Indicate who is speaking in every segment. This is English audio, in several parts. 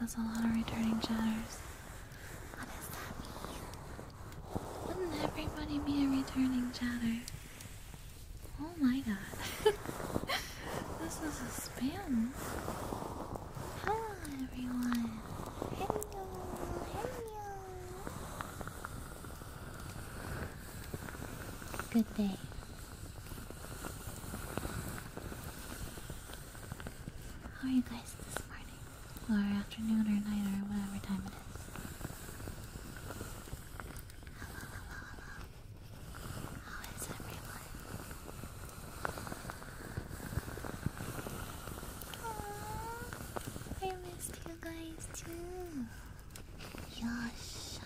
Speaker 1: That's a lot of returning chatters. Wouldn't everybody be a returning chatter? Oh my god. This is a spam. Hello, everyone. Hello, hello. Good day. How are you guys this morning? Or afternoon or night or whatever time it is? I missed you guys too. Yosh.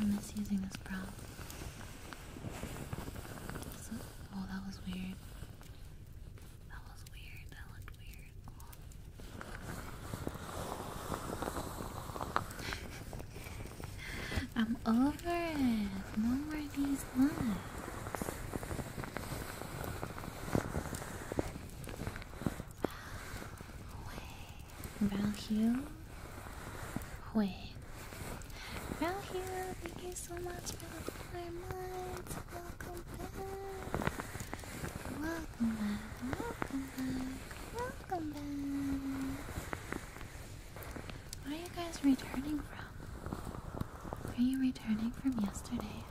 Speaker 1: I miss using this brow. Oh, that was weird. That was weird. That looked weird. I'm over it. No more these looks. Valhue. Hui. thank you so much Welcome back. Welcome back. Welcome back. Welcome back. Where are you guys returning from? Are you returning from yesterday?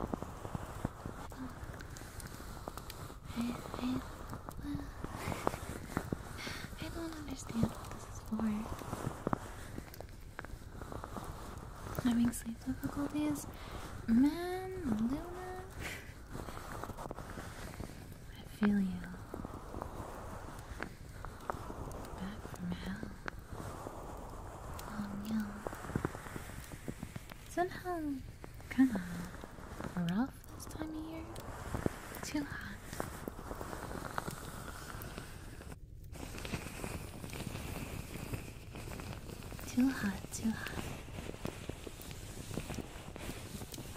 Speaker 1: I don't understand what this is for. Having sleep difficulties? Man, Luna. I feel you. Back from hell. Oh um, no. Somehow, kinda rough this time of year. Too hot. Too hot, too hot.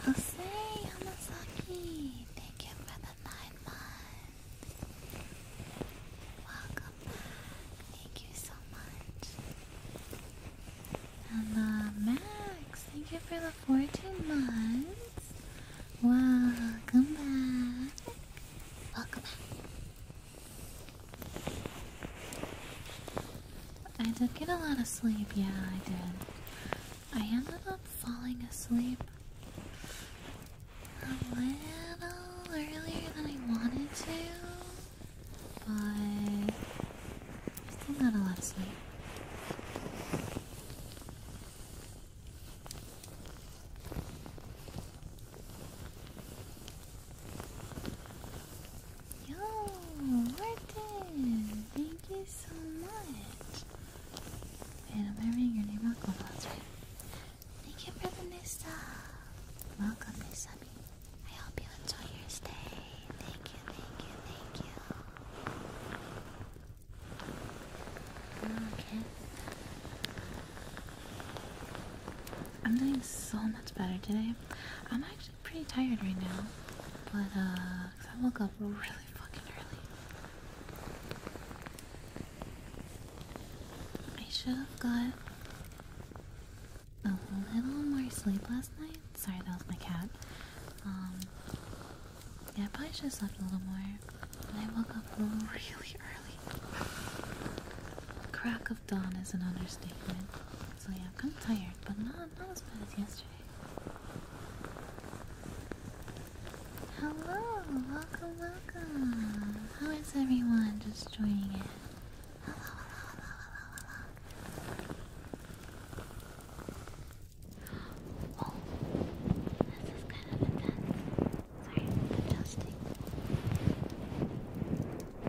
Speaker 1: I'll thank you for the nine months. Welcome back. Thank you so much. And uh, Max, thank you for the 14 months. Welcome back. Welcome back. I did get a lot of sleep, yeah, I did. I ended up falling asleep a little earlier than I wanted to, but I still got a lot of sleep. Yo, Martin! Thank you so much! Man, I'm never your name out cold last right? Thank you for the new sub! Welcome, new subby. I hope you enjoy your stay. Thank you, thank you, thank you. Okay. I'm doing so much better today. I'm actually pretty tired right now, but uh, I woke up really fucking early. I should have got a little more sleep last night. Sorry, that was my cat. Um, yeah, I probably should have slept a little more. But I woke up really early. Crack dawn is an understatement. So yeah, I'm kind of tired, but not, not as bad as yesterday. Hello, welcome, welcome. How is everyone just joining in?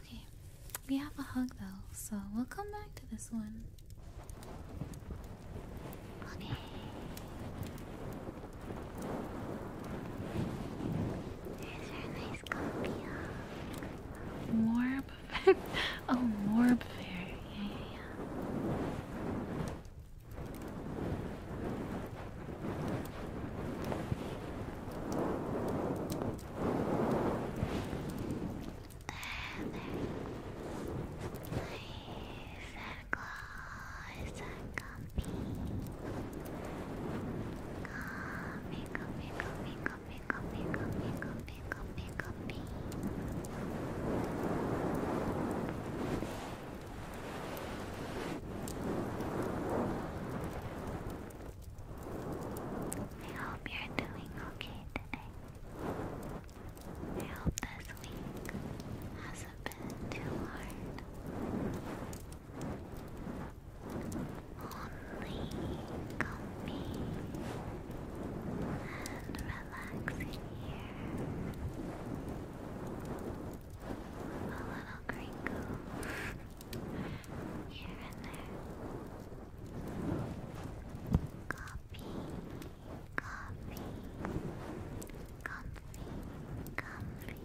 Speaker 1: Okay, we have a hug though, so we'll come back to this one. Okay. There's our nice coffee Morb. oh, Morb Fair. Yeah, yeah, yeah. Nice and comfy. Comfy, comfy, comfy, comfy, comfy, comfy, comfy, comfy, comfy. I hope you're doing okay today. I hope this week hasn't been too hard. Only comfy and relaxing here. A little crinkle here and there. Copy, copy, comfy, comfy.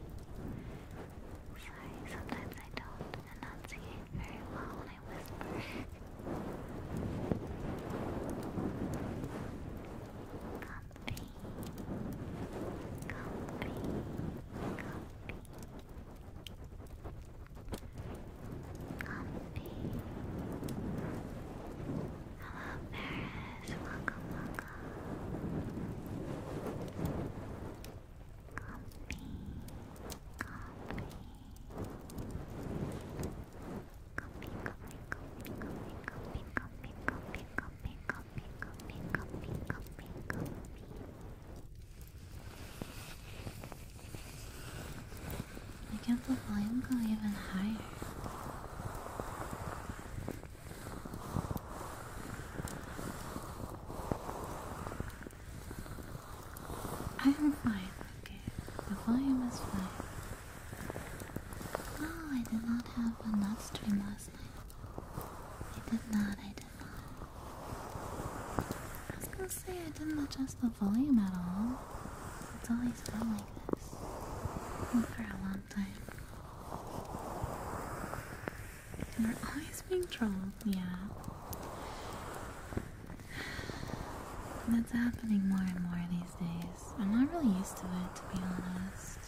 Speaker 1: Sorry, sometimes I don't enunciate very well when I whisper. Coffee, coffee, coffee, coffee. Hello, Paris. Welcome, welcome. Coffee, coffee. I get the volume go even higher. I am fine, okay. The volume is fine. No, oh, I did not have a live last night. I did not, I did not. I was gonna say I didn't adjust the volume at all. It's always been like this. for a long time. And we're always being trolled, yeah. That's happening more and more these days this. I'm not really used to it, to be honest.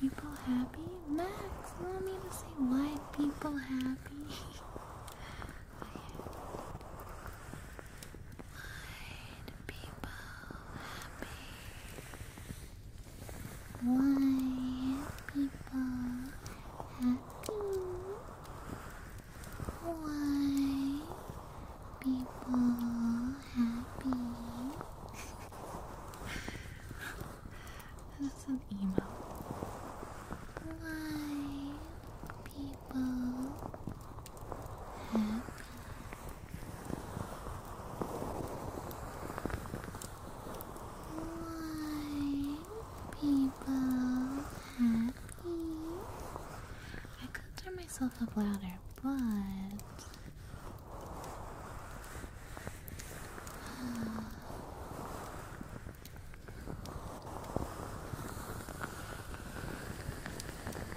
Speaker 1: people happy? Max, you me to say wide people happy? Why
Speaker 2: people happy. Wide people happy.
Speaker 1: Why people happy? That's an email. Why people why people happy? I could turn myself up louder, but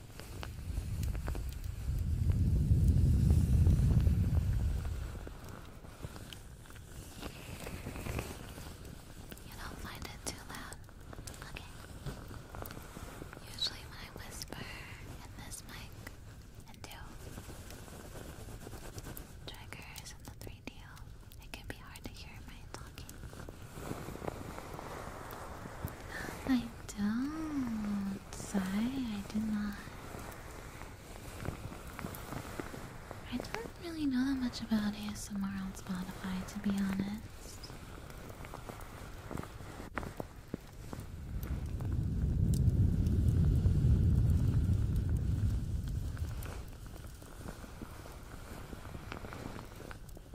Speaker 1: You don't find it too loud? Okay. Usually when I whisper in this mic and do triggers in the 3DO, it can be hard to hear my I don't. Sorry, I do not. I don't really know that much about ASMR on Spotify, to be honest.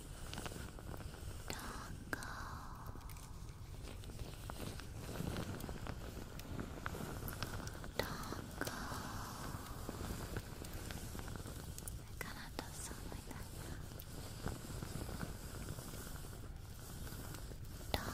Speaker 2: Dongo. Dongo. It kind of does sound like that. Yeah. Dongo.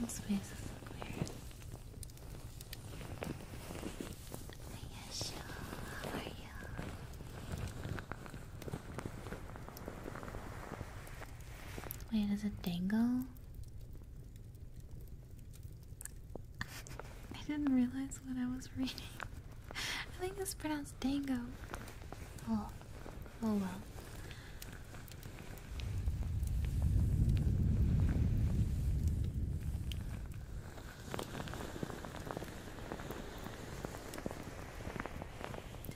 Speaker 2: Those faces look weird. Ayesha, how are you?
Speaker 1: Wait, is it dangle? I didn't realize what I was reading. I think it's pronounced Dango. Oh, oh well.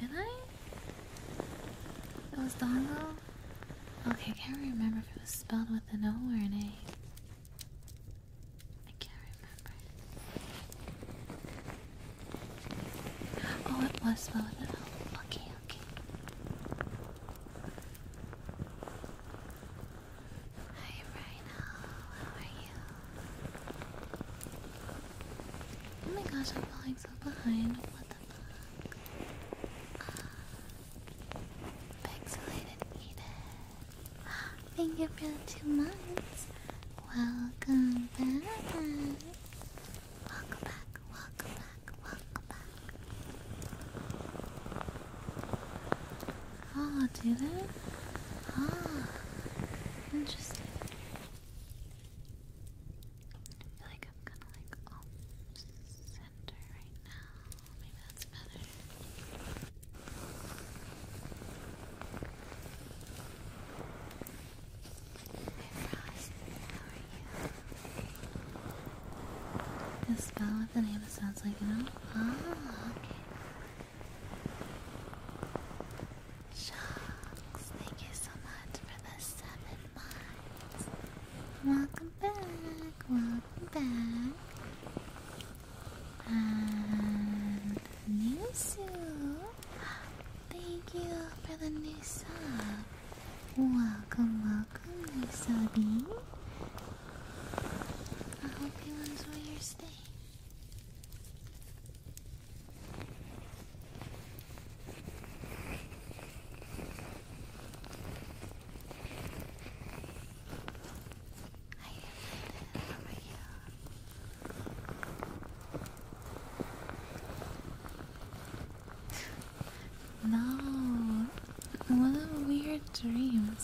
Speaker 1: Did I? It was Dango? Okay, I can't remember if it was spelled with an O or an A. I can't remember. Oh, it was low at Okay, okay. Hi, Rhino. How are you? Oh my gosh, I'm falling so behind. What the uh, pixelated Edith. Thank you for the
Speaker 2: two months. Welcome back. Welcome back, welcome back, welcome back.
Speaker 1: Oh, do they? Ah, interesting.
Speaker 2: I feel like I'm kind of like off center right now. Maybe that's better.
Speaker 1: Ross, spell with the name sounds like an old Ah, thank you so much for the seven months.
Speaker 2: Welcome back, welcome back.
Speaker 1: And new Thank you for the new song. Welcome, welcome, new subby. I hope you enjoy your stay. I am How are you? No, what a weird dream.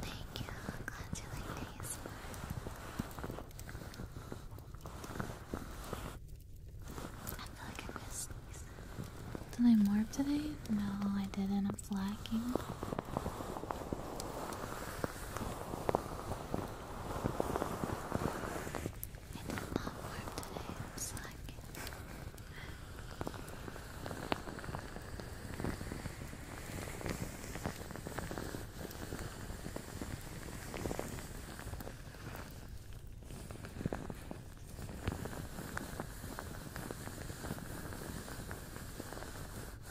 Speaker 1: thank you. glad you like these. I feel like I missed these. Did I morph today? No, I didn't was lacking. It is not warm today, I'm slacking. Thank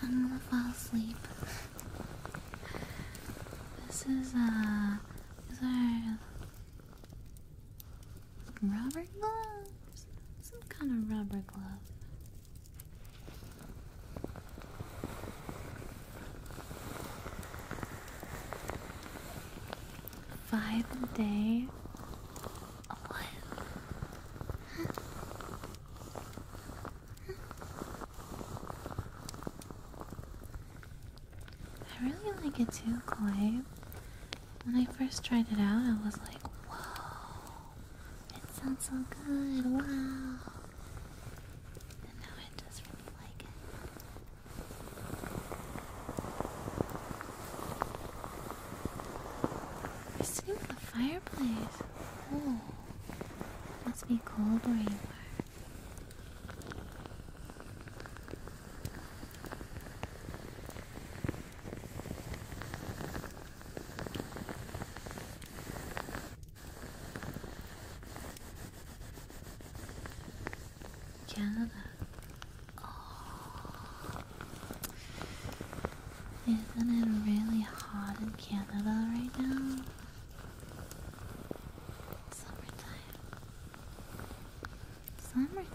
Speaker 1: I'm gonna fall asleep. This is, uh, a rubber glove. Some kind of rubber glove. Five a day. I really like it too, Koi. When I first tried it out, I was like, whoa, it sounds so good, wow. And now it just really like it. the fireplace. Oh, must be cold where you are. Canada. Oh. Isn't it really hot in Canada right now? Summertime. Summertime.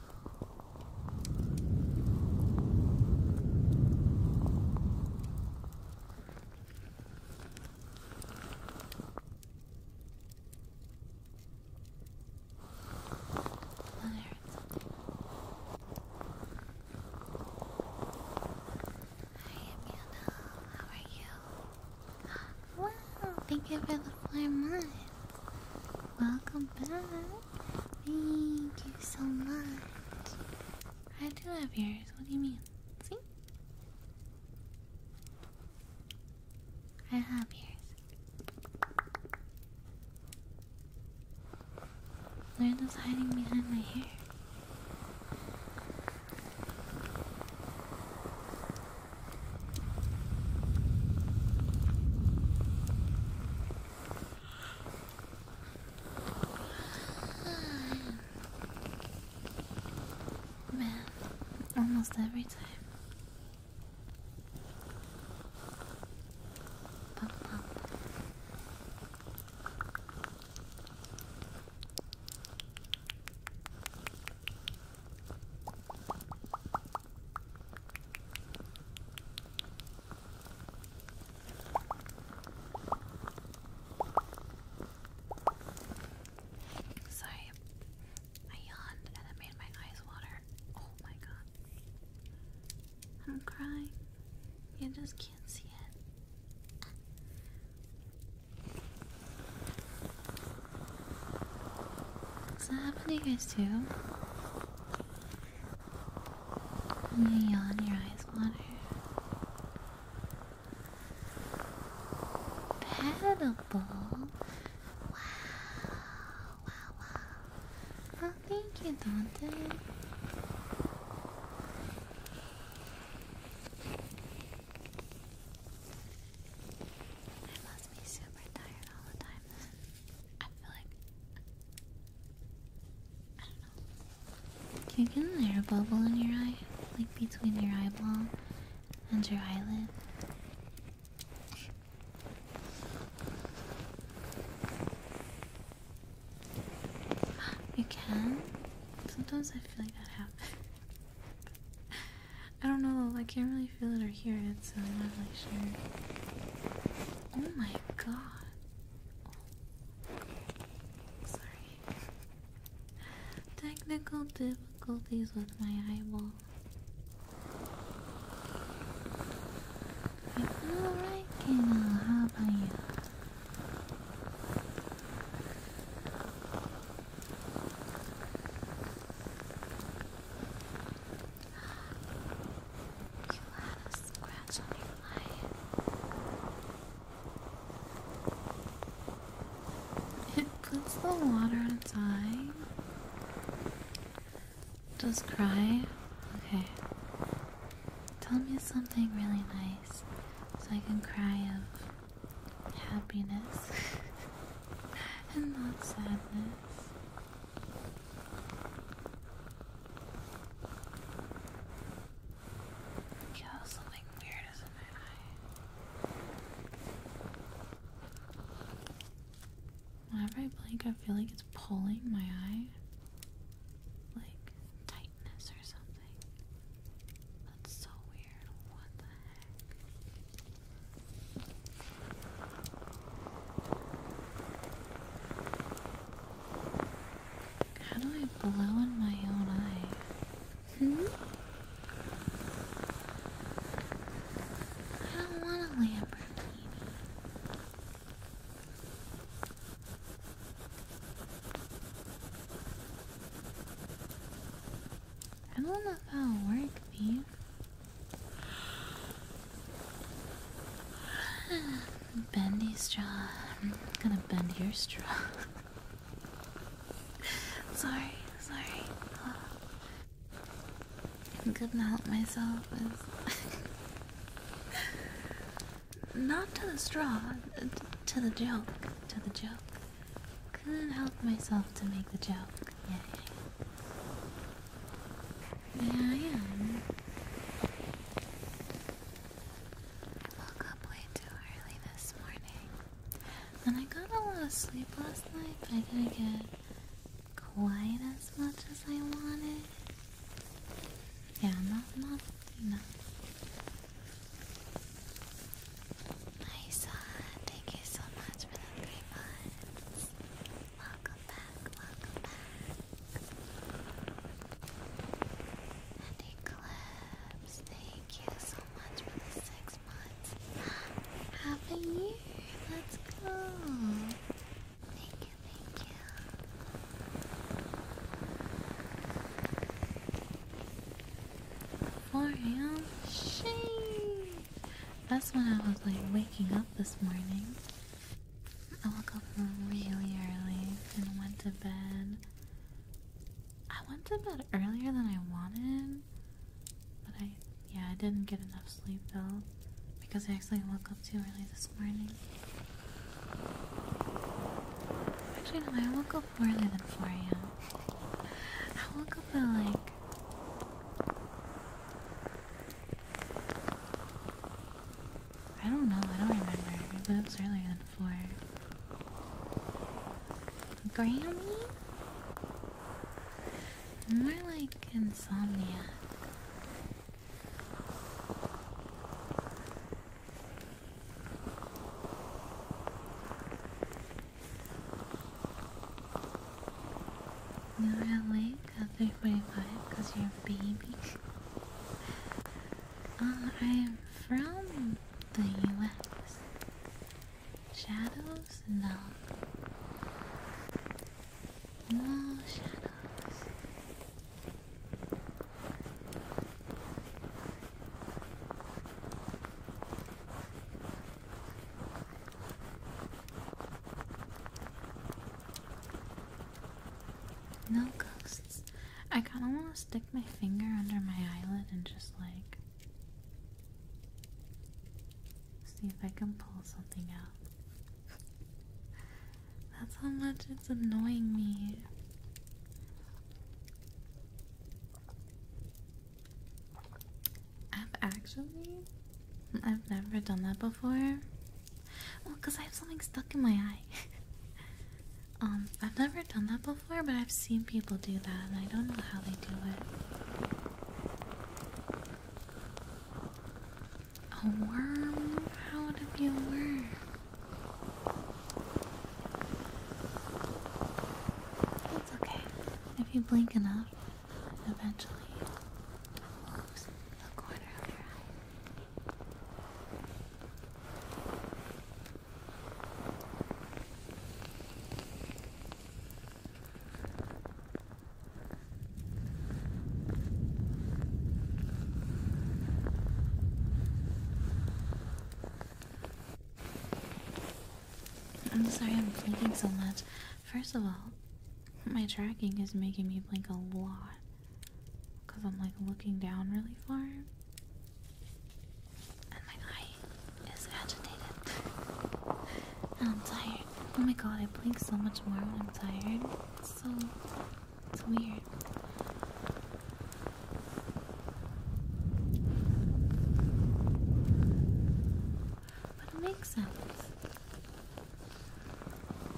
Speaker 1: How are you? Wow, thank you for the four months. Welcome back. Thank you so much. I do have yours. What do you mean? See? I have yours. They're just hiding behind my hair. Man, almost every time. Sorry, I yawned and it made my eyes water. Oh my god. I'm crying. You just can't see it. Does that happen to you guys too? yawn, your eyes water. Paddable. Wow, wow, wow. Oh, thank you, Dante. I must be super tired all the time then. I feel like I don't know. Can you get an air bubble in your eye? Like between your eyeball and your eyelid? You can? Sometimes I feel like that happens. I don't know, I can't really feel it or hear it, so I'm not really sure. Oh my god. Sorry. Technical difficulties with my eyeball. alright, Kayla. How about you? You have a scratch on your eye. It puts the water in its eye. Just cry? Okay. Tell me something really nice so I can cry of happiness and not sadness. Yeah, something weird is in my eye. Whenever I blink, I feel like it's pulling my eye. Like tightness or something. That's so weird. What the heck? How do I blow in my own eye? Hmm? I don't want a Lamborghini. I don't know if that'll work, Thief. Bendy straw. I'm gonna bend your straw. sorry, sorry. couldn't help myself. Not to the straw, uh, to the joke, to the joke. Couldn't help myself to make the joke. Yeah, I am. woke up way too early this morning. And I got a lot of sleep last night, but I didn't get quite as much as I wanted. Yeah, not, not enough. Nice, uh, thank you so much for the three months welcome back, welcome back. And Eclipse, thank you so much for the six months. Happy year, let's go. Thank you, thank you. For she. That's when I was like waking up this morning. I woke up really early and went to bed. I went to bed earlier than I wanted, but I, yeah, I didn't get enough sleep though because I actually woke up too early this morning. Actually, no, I woke up earlier than 4 a.m. I woke up at like I don't know, I don't remember, but it was earlier than four. Grammy? More like insomnia. You're at 3.45 because you're a baby. Uh, I'm from the US. Shadows? No. No shadows. No ghosts. I kind of want to stick my finger under my eyelid and just like see if I can pull something out. That's how much it's annoying me. I've actually, I've never done that before. Well, because I have something stuck in my eye. um, I've never done that before, but I've seen people do that, and I don't know how they do it. A worm? How would it be a worm? That's okay. If you blink enough, eventually. Oops, the corner of your eye. I'm sorry I'm blinking so much. First of all, my tracking is making me blink a lot because I'm like looking down really far and my eye is agitated I'm tired. Oh my god, I blink so much more when I'm tired. so, it's weird. But it makes sense.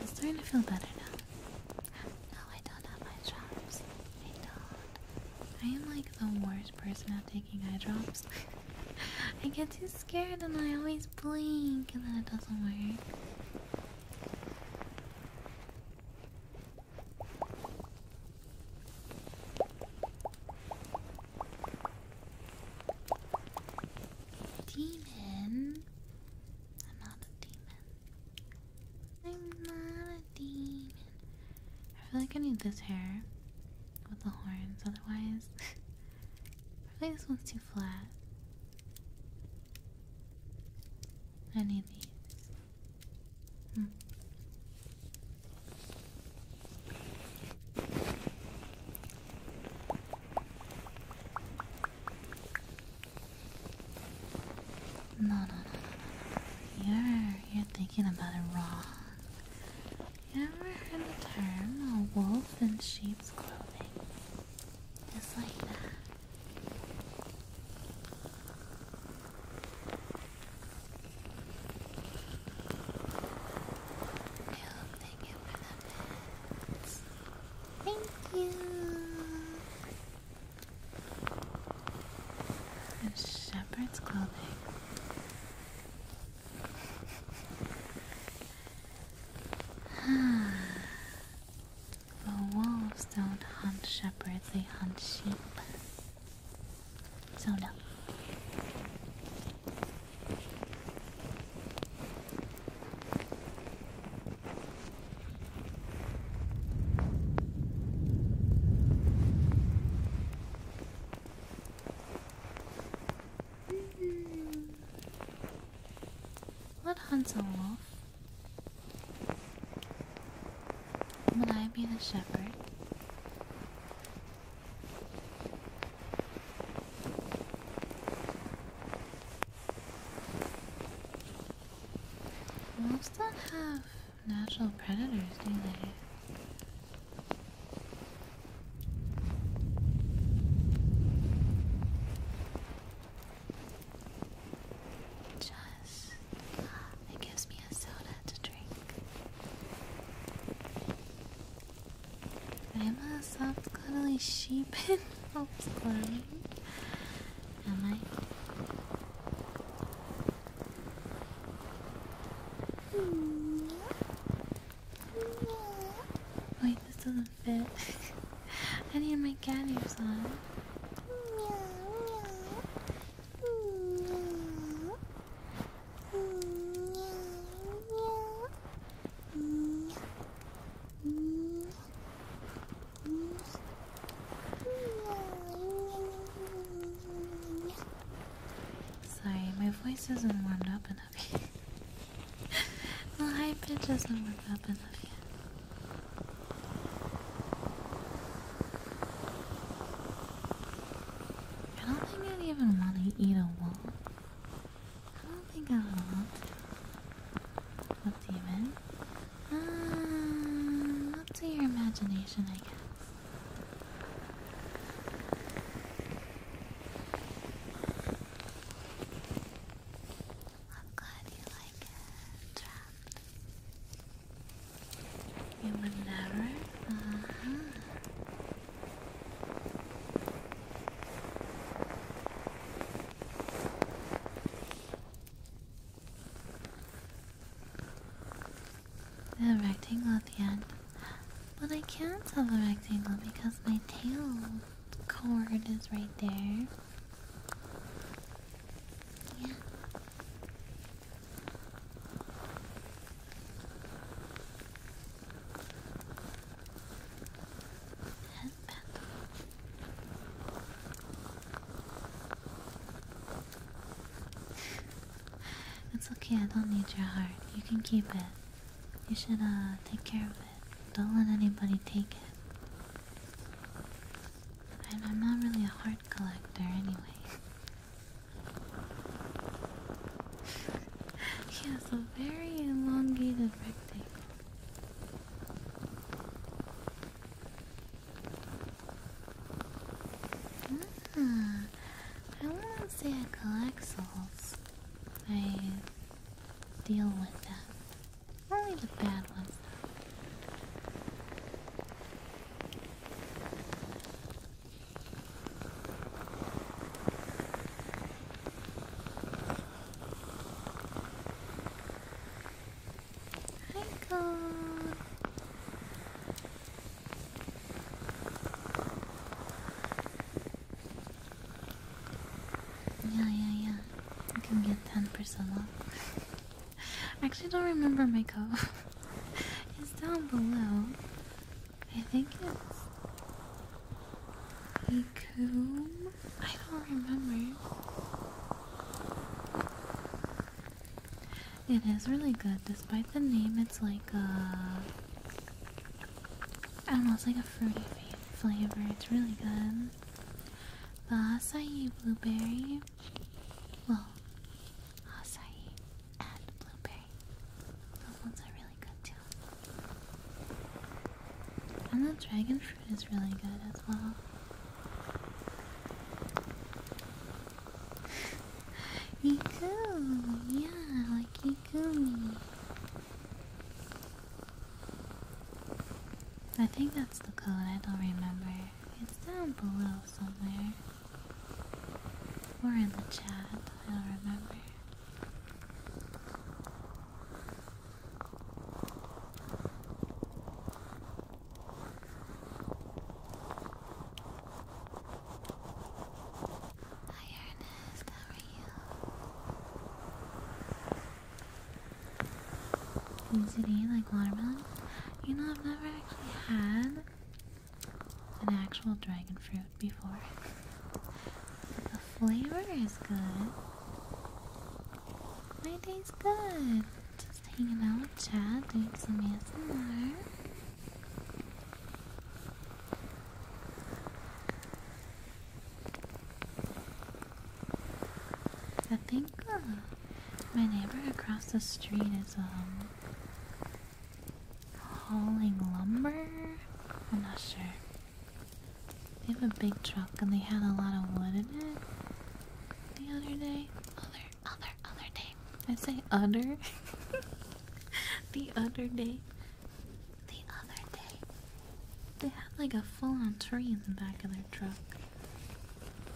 Speaker 1: I'm starting to feel better now. No, I don't have eye I don't. I am like the worst person at taking eye drops. I get too scared and I always blink and then it doesn't work. Demon? I'm not a demon. I'm not a demon. I feel like I need this hair with the horns, otherwise, I feel like this one's too flat. I need these. Hmm. no, no, no. You're, you're thinking about it wrong. You ever heard the term a wolf in sheep's clothing? Just like that thank you for the Thank you. A shepherd's clothing. The wolves don't hunt shepherds, they hunt sheep. So no. What hunts a wolf? Will I be the shepherd? Wolves do have natural predators, do they? Just it gives me a soda to drink. I'm a soft, cuddly sheep Am I? Wait, this doesn't fit. I need my cat ears on. Sorry, my voice isn't warmed up enough My high pitch isn't warmed up enough I don't think I'd even want to eat a wall. I don't think I would want to. What demon? Uh, up to your imagination, I guess. I'm glad you like it, Trapped. You would never? Uh rectangle at the end. But I can't have a rectangle because my tail cord is right there. Yeah, that's okay, I don't need your heart. You can keep it. You should uh, take care of it. Don't let anybody take it. I'm not really a heart collector anyway. he has a very elongated rectangle. Ah, I wouldn't say I collect souls. I deal with them. Only the bad ones, Hi, God. Yeah, yeah, yeah. You can get ten percent off. I actually don't remember my code. it's down below. I think it's Ikum. I don't remember. It is really good, despite the name. It's like a uh, I don't know. It's like a fruity flavor. It's really good. The acai blueberry well, acai and blueberry. Those ones are really good too. And the dragon fruit is really good as well. Ikumi, yeah, like Ikumi. I think that's the code, I don't remember. It's down below somewhere. Or in the chat, I do remember. Hi Ernest, how are you? Is it eat like watermelon? You know, I've never actually had an actual dragon fruit before. The flavor is good. My day's good. Just hanging out with Chad, doing some ASMR. I think uh, my neighbor across the street is um, hauling lumber. I'm not sure. They have a big truck and they had a lot of wood in it the other day. Other, other, other day. I say other. the other day. The other day. They had like a full on tree in the back of their truck.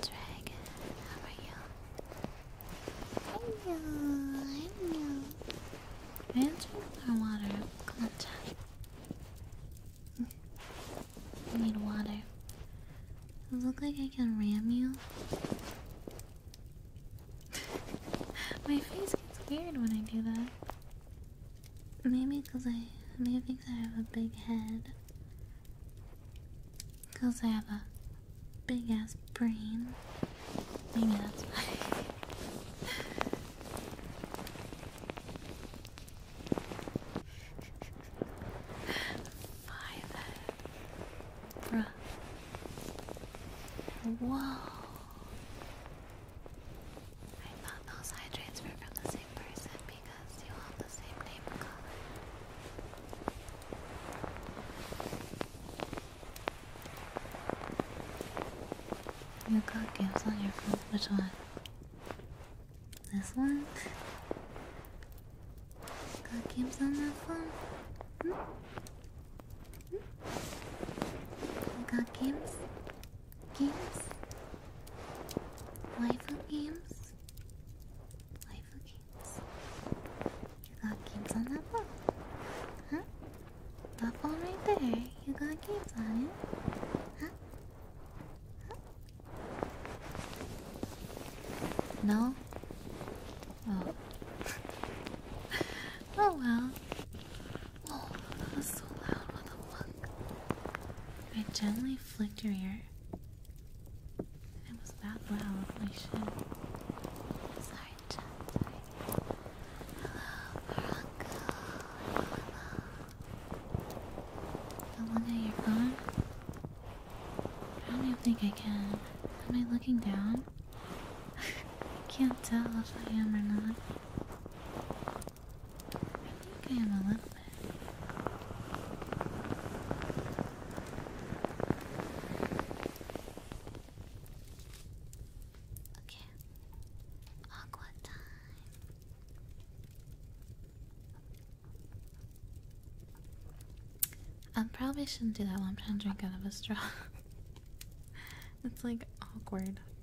Speaker 2: Dragon, how are you? Hello, hello. I
Speaker 1: drink more water. Come on, Chad. need water. I look like I can ram you. My face gets weird when I do that. Maybe because I, maybe I have a big head. Because I have a big ass brain. Maybe that's why. Five. Bruh. Whoa. I found those hydrates were from the same person because you all the same name color. You got games on your phone? Which one? This one? Got games on that phone? Hmm? Hmm? We got games, games, waifu games, waifu games. You got games on that phone, huh? That phone right there. You got games on it, huh? huh? No? Oh. oh well. Whoa, oh, that was so loud. What the fuck? I gently flicked your ear. It was that loud. Holy Sorry, Hello, Morocco. Hello. Don't look at I don't even think I can. Am I looking down? I can't tell if I am or not. I think I am a little bit. Okay. Aqua time. I probably shouldn't do that while I'm trying to drink out of a straw. it's like awkward.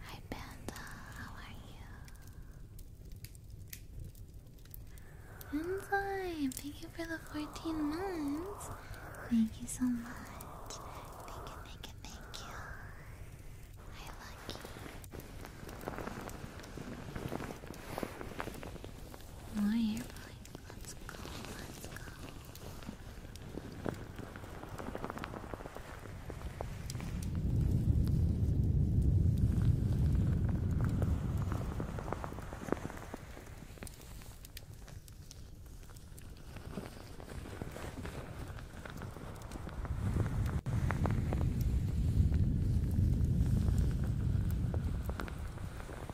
Speaker 1: Hi Panda, how are you? Enzyme, thank you for the 14 months. Thank you so much. Thank you, thank you, thank you. Hi Lucky. My airplane. Let's go, let's go.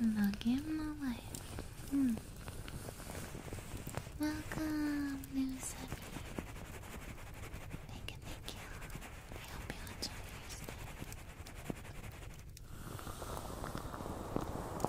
Speaker 1: Monkey of life. Welcome, new subby. Thank you, thank you. I hope you enjoy your stay. Hello,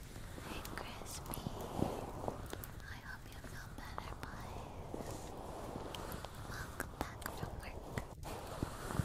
Speaker 1: Hey Crispy, I hope you feel better, boys. Welcome back from work. Welcome.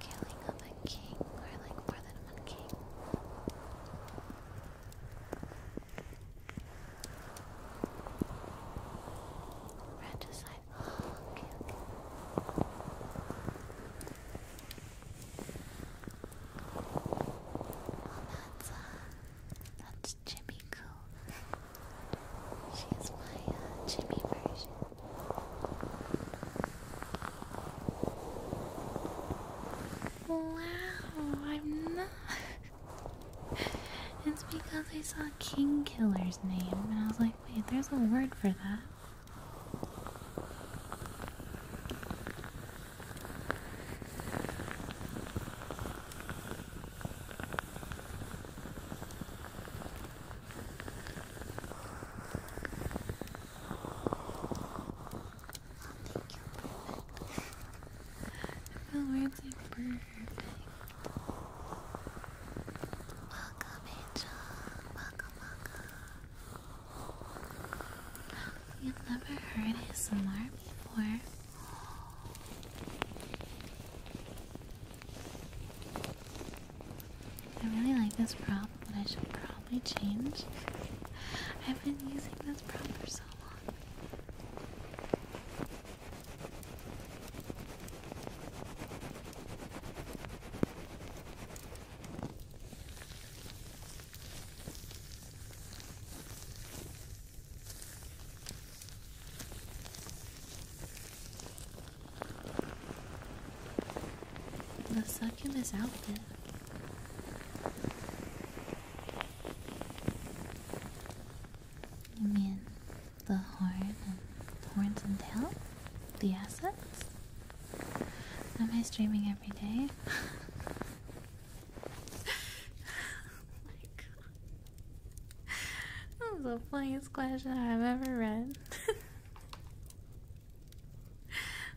Speaker 1: killing of a king, or like more than one king. Regicide. Oh, okay, that's uh, that's Jimmy Cool. She's my uh, Jimmy version. Wow, I'm not. it's because I saw King Killer's name and I was like, wait, there's a word for that. I feel weird, it's like Welcome, Angel. Welcome, welcome. You've never heard his ASMR before. I really like this prop, but I should probably change. I've been using this prop for so long. The succubus outfit. You mean the horn and horns and tail? The assets? Am I streaming every day? oh my god. That was the funniest question I've ever read.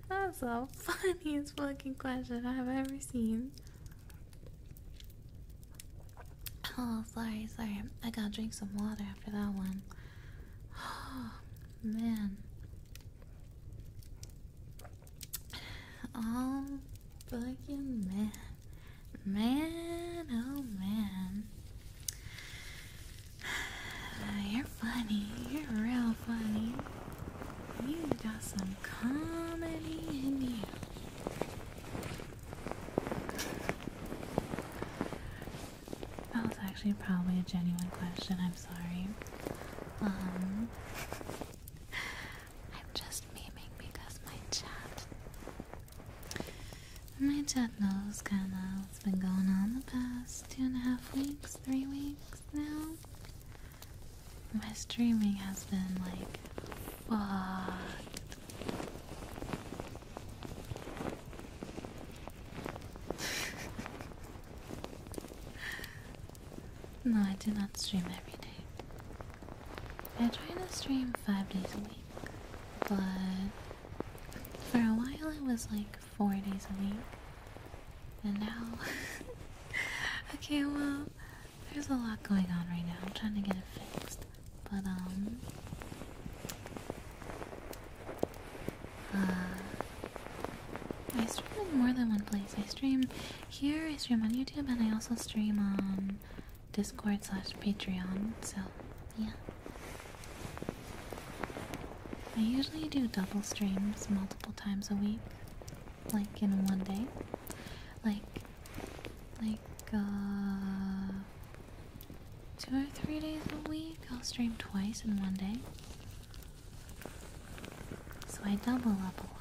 Speaker 1: That's the funniest fucking question I've ever seen. Oh, sorry, sorry. I gotta drink some water after that one. Oh, man. Oh, fucking man. Man, oh man. Uh, you're funny. You're real funny. You got some comedy in you. That was actually probably a genuine question. I'm sorry. Um, I'm just memeing because my chat my chat knows kind of what has been going on the past two and a half weeks, three weeks now. My streaming has been like fucked. no, I do not stream every day. I try to stream five days a week, but for a while it was like four days a week. And now Okay, well, there's a lot going on right now. I'm trying to get it fixed. But um uh, I stream in more than one place. I stream here, I stream on YouTube, and I also stream on Discord slash Patreon, so yeah. I usually do double streams multiple times a week, like in one day. Like, like, uh, two or three days a week, I'll stream twice in one day. So I double up a lot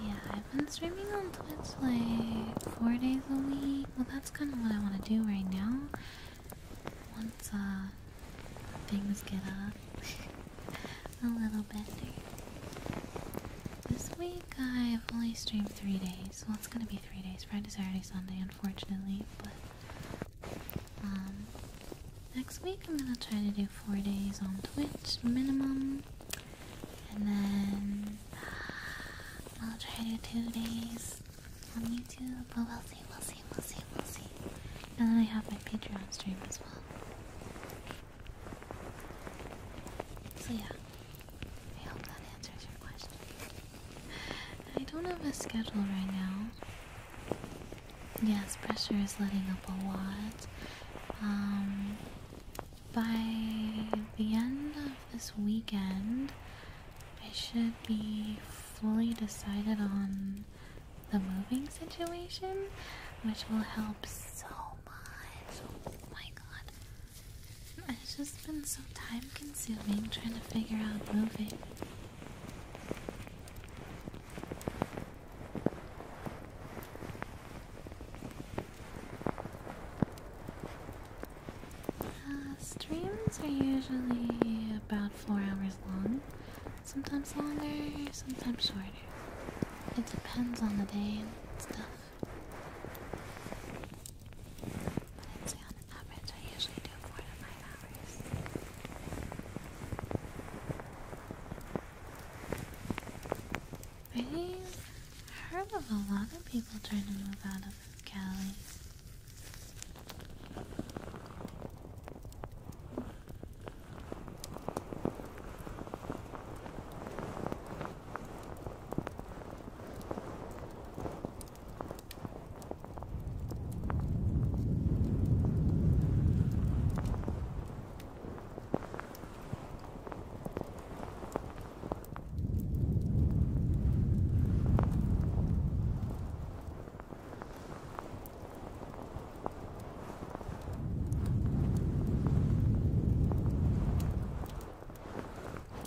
Speaker 1: yeah, I've been streaming on Twitch like four days a week. Well, that's kind of what I want to do right now. Once uh, things get up a little bit, This week I've only streamed three days. Well, it's gonna be three days: Friday, Saturday, Sunday. Unfortunately, but um, next week I'm gonna try to do four days on Twitch minimum, and then I'll try to do two days on YouTube. But we'll see, we'll see, we'll see, we'll see. And then I have my Patreon stream as well. So yeah, I hope that answers your question. I don't have a schedule right now. Yes, pressure is letting up a lot. Um, by the end of this weekend, I should be fully decided on the moving situation, which will help so much. Oh my god. It's just been so time consuming trying to figure out moving. Uh, streams are usually about four hours long. Sometimes longer, sometimes shorter. It depends on the day and stuff. I'd say on I usually do four to five hours. I have heard of a lot of people trying to move out of this Cali.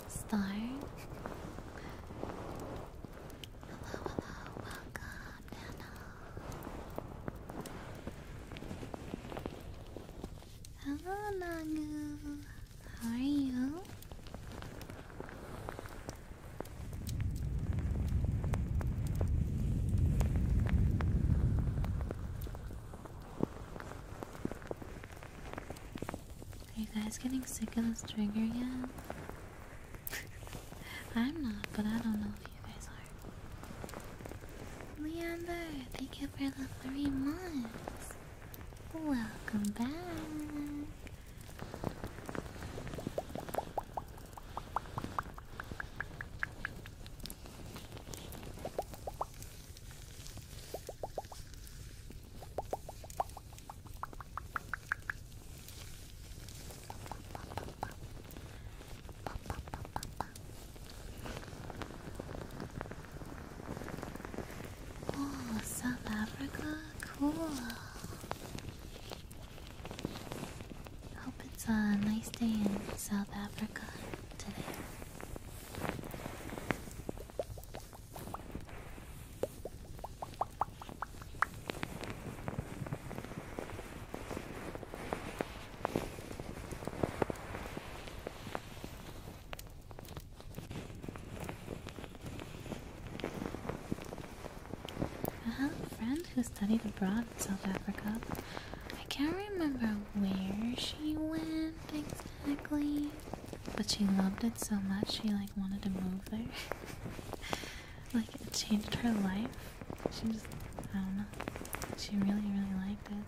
Speaker 1: Star. Hello, hello, welcome, Nana. Hello, Nagu. How are you? Are you guys getting sick of this trigger yet? I'm not, but I don't know if you guys are. Leander, thank you for the three months. Welcome back. Oh, South Africa? Cool. Hope it's a nice day in South Africa today. I have a friend who studied abroad in South Africa. I can't remember where she went exactly, but she loved it so much she like wanted to move there. like it changed her life. She just I don't know. She really really liked it.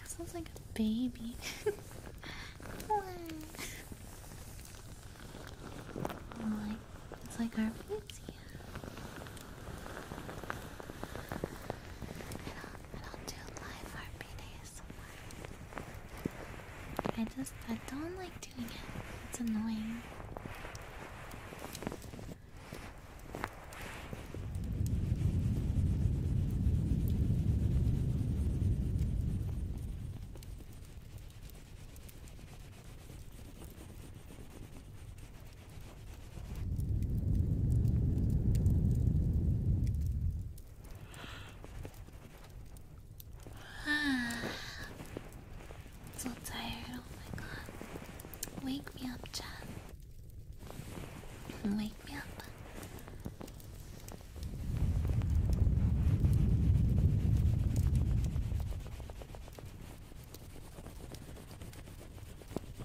Speaker 1: that sounds like a baby. it's like our fancy. I do I do do live heartbeating. I just I don't like doing it. It's annoying. so tired, oh my god. Wake me up, Chad. Wake me up.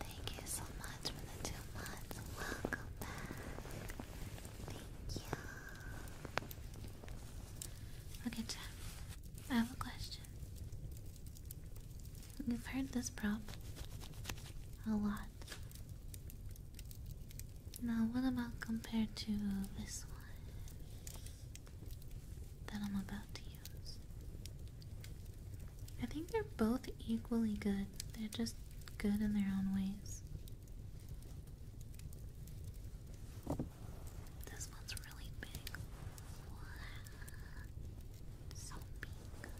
Speaker 1: Thank you so much for the two months. Welcome back. Thank you. Okay, I have a question. we have heard this prop a lot. Now, what about compared to this one that I'm about to use? I think they're both equally good, they're just good in their own ways. This one's really big. Wow. So big.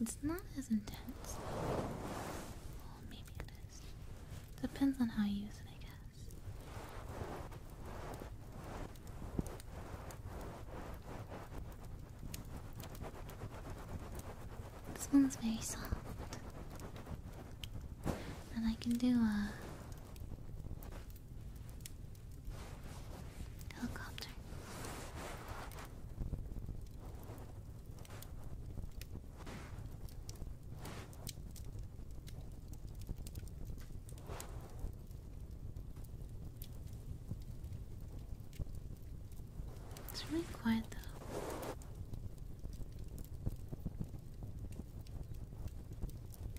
Speaker 1: It's not as intense. Though. Well, maybe it is. Depends on how you use it, I guess. This one's very soft. And I can do a Helicopter. It's really quiet though.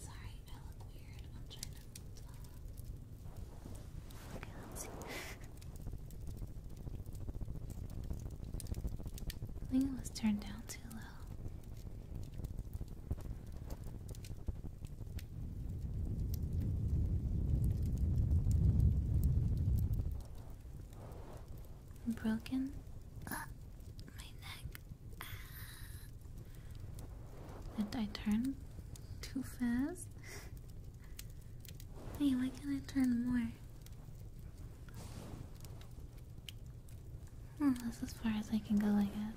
Speaker 1: Sorry, I look weird. I'm trying to. Uh... Okay, let's see. I think it was turned down too low. Broken? my neck. Ah. Did I turn too fast? hey, why can't I turn more? Hmm, that's as far as I can go, I guess.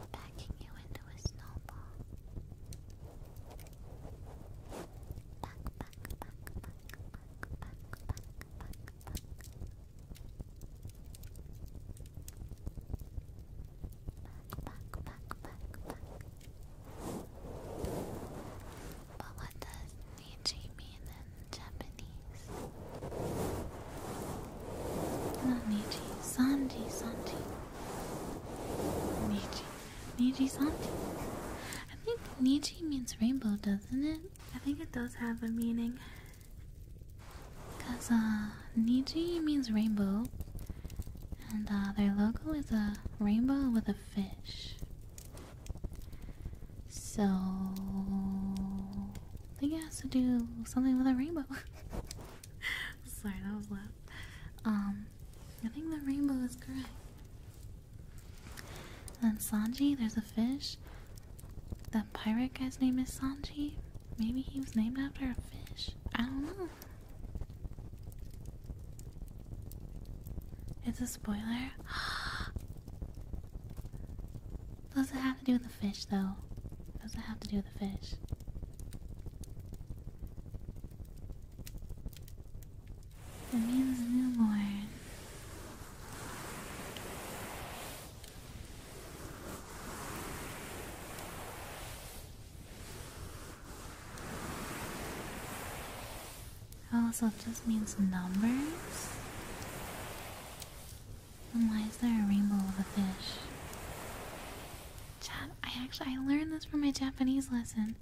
Speaker 1: I'm packing you into a snowball. But what does Nietzsche mean in Japanese? Niji, Sanji, Sanji. Niji, Niji, Sanji. I think Niji means rainbow, doesn't it? I think it does have a meaning. Because, uh, Niji means rainbow. And, uh, their logo is a rainbow with a fish. So, I think it has to do something with a rainbow. Sorry, that was loud. Um, I think the rainbow is correct. then Sanji, there's a fish. That pirate guy's name is Sanji. Maybe he was named after a fish. I don't know. It's a spoiler. Does it have have to do with the fish, though? does it have to do with the fish? means newborn. Also, it just means numbers why is there a rainbow of a fish? Chat, I actually I learned this from my Japanese lesson.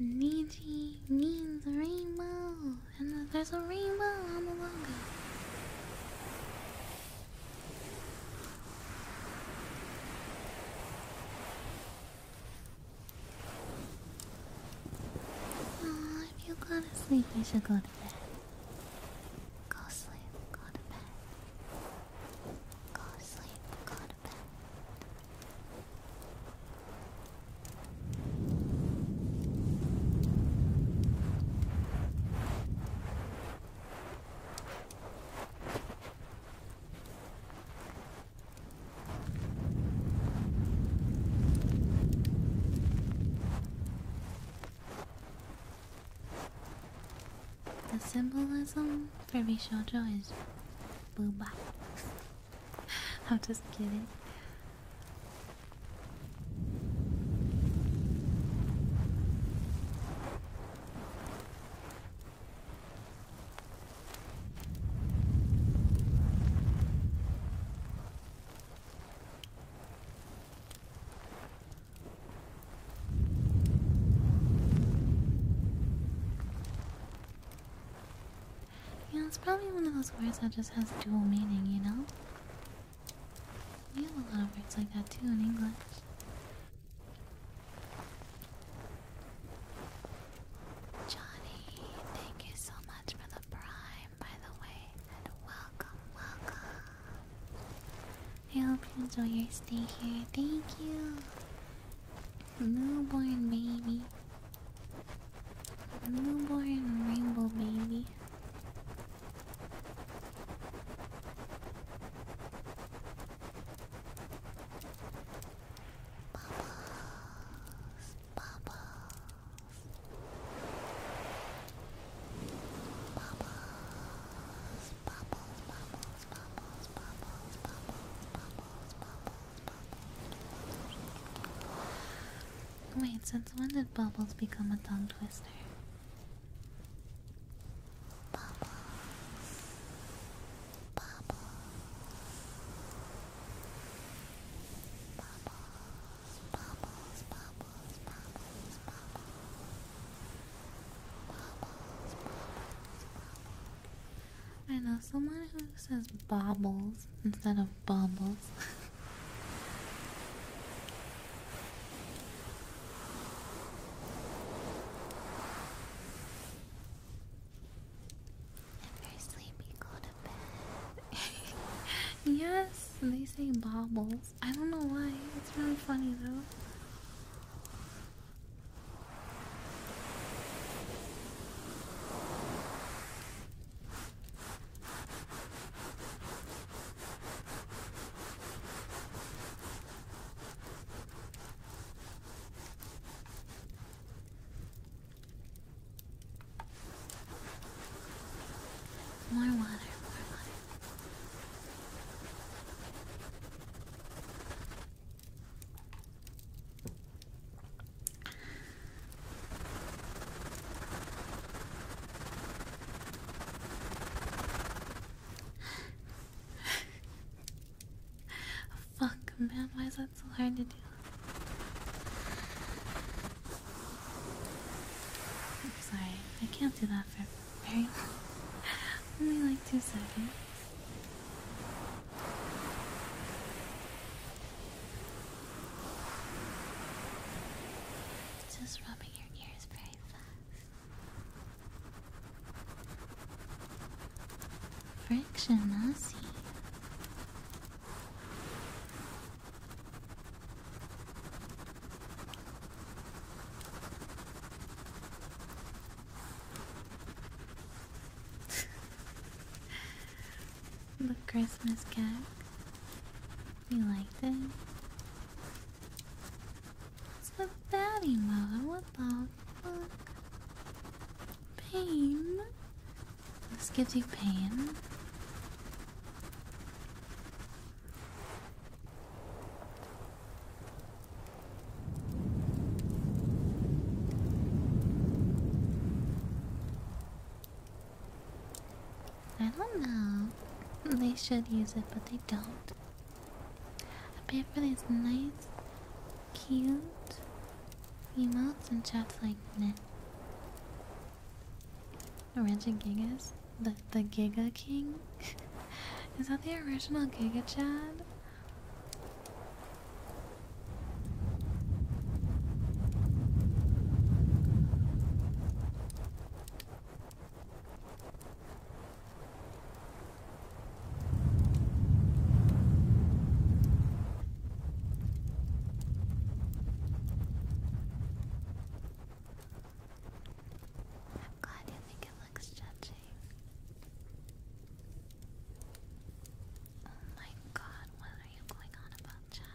Speaker 1: Niji means rainbow, and there's a rainbow on the logo. if you go to sleep, you should go to bed. Go sleep, go to bed. Go sleep, go to bed. Go the symbolism for Bishojo is booba. I'm just kidding. Yeah, it's probably one of those words that just has dual meaning, you know? We have a lot of words like that too in English. Johnny, thank you so much for the prime, by the way, and welcome, welcome. I hope you enjoy your stay here. Thank you. Newborn baby. Newborn rainbow baby. Bubbles, bubbles. Wait, since when did bubbles become a tongue twister? I know someone who says bobbles instead of bubbles. if you're sleepy, go to bed. yes, they say bobbles. I don't know why. It's really funny though. More water, more water. Fuck, man, why is that so hard to do? i sorry, I can't do that for very Only like two seconds. Just rubbing your ears very fast. Friction, nasty the Christmas cat. You like this? It's a baddie mode. Pain. This gives you pain. I don't know. They should use it, but they don't. I pay for these nice, cute emotes and chats like that. Nah. Reggie Gigas. The, the Giga King? Is that the original Giga Chad? God, you think it Oh my god, what are you going on about, chat?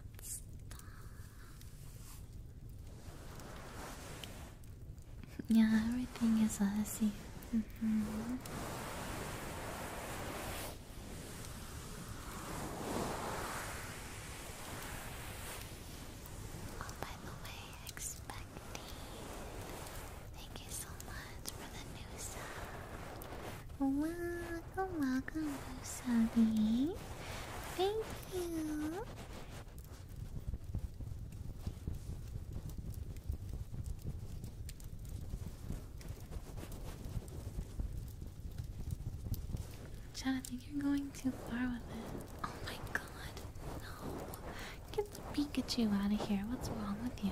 Speaker 1: Yeah, everything is messy. Mm mm-hmm.
Speaker 2: Oh, by the way, expect Thank you so much for the new Welcome, welcome, new subby. Thank you.
Speaker 1: Chad, I think you're going too far with it. Oh my god, no. Pikachu out of here. What's wrong with you?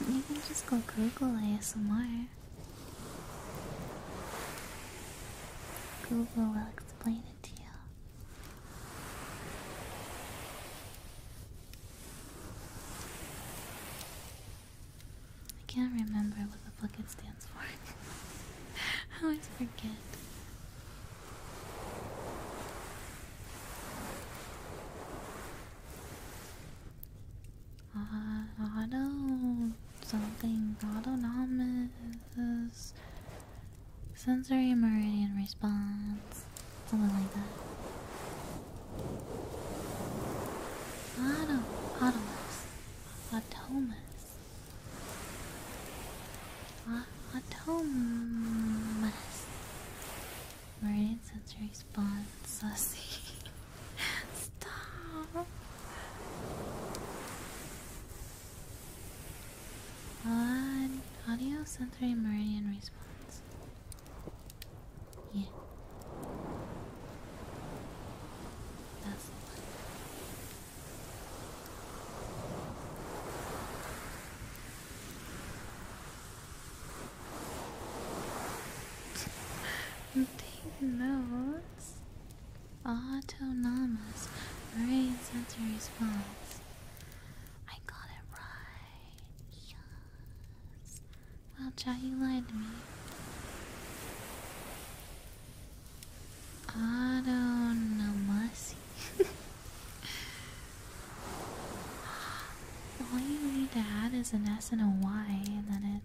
Speaker 1: You can just go Google ASMR. Google will explain it to you. I can't remember what the fuck it stands for. I always forget. Uh, auto something autonomous sensory meridian response something like that auto autonomous autonomous autonomous Meridian Such response, Sussy. Stop. What? Audio sensory meridian response. Yeah. That's the Take notes. Autonomous brain sensory response. I got it right. Yes. Well, Jai, you lied to me. Autonomous. All you need to add is an S and a Y, and then it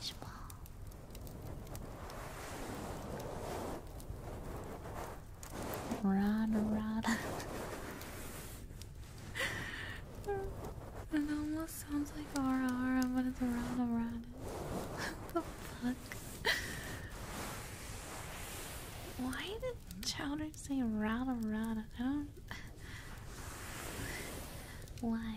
Speaker 1: Squish ball. it almost sounds like aura aura, but it's rada rada. what the fuck? Why did Chowder start saying rada rada. I don't. Why?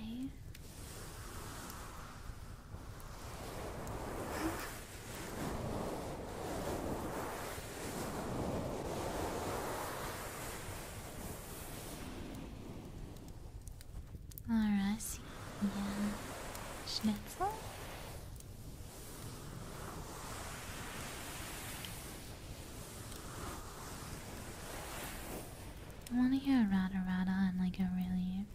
Speaker 1: Alright, yeah. Schnitzel? I want to hear a rata rata and like a really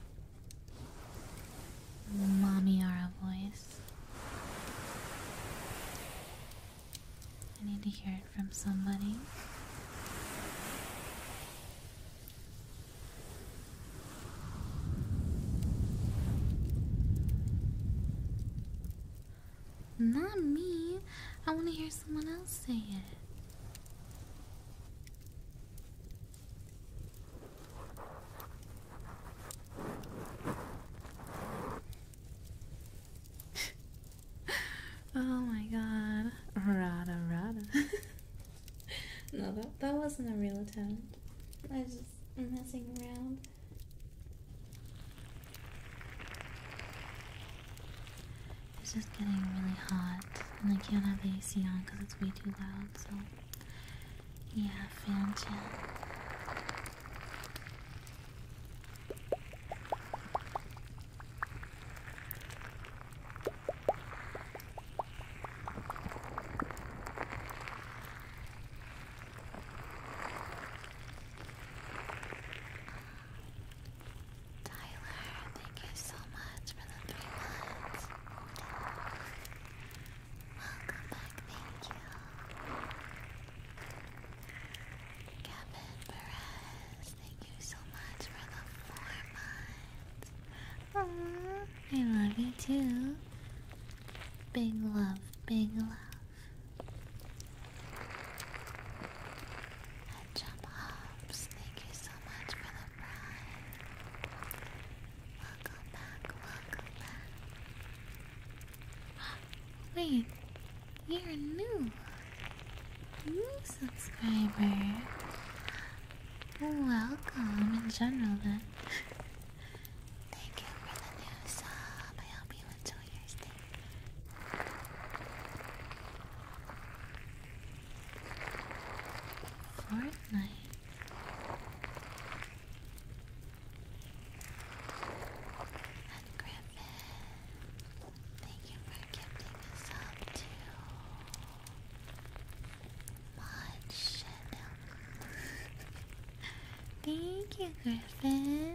Speaker 1: mommy voice. I need to hear it from somebody. Not me. I want to hear someone else say it. oh my god. Rada rada. no, that, that wasn't a real attempt. I was just messing around. It's just getting really hot, and I can't have the AC on because it's way too loud, so yeah, fan chill. Tyler, thank you so much for the three months. Welcome back, thank you. Kevin Perez, thank you so much for the four months. I love you too. Big love, big love. Jump Hops, thank you so much for the pride. Welcome back, welcome back. Wait, you're new. New subscriber. Welcome in general then. Thank you for the new sub. I hope you enjoy your stay Fortnite. And thank you
Speaker 2: for gifting us up to much Thank you, Griffin.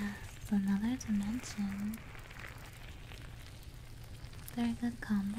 Speaker 1: Yes, another dimension. Very good combo.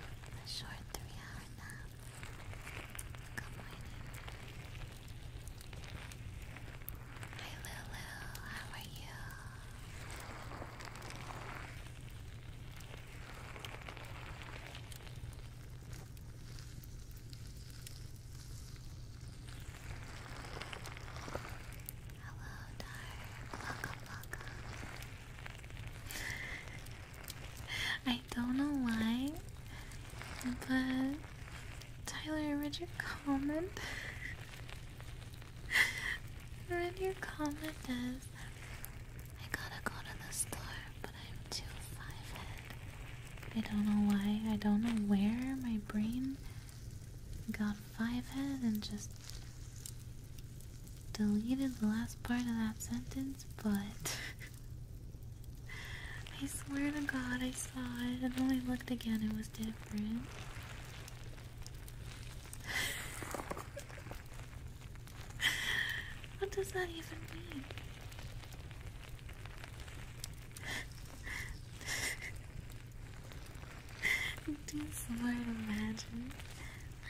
Speaker 1: a short three-hour nap. Good morning. Hi Lulu, how are you? Hello, Dar. Welcome, welcome. I don't know why, but Tyler, read your comment. read your comment as I gotta go to the store, but I'm too five head. I don't know why. I don't know where my brain got five head and just deleted the last part of that sentence, but I swear to God I saw it, and when I looked again, it was different. what does that even mean? something so imagine.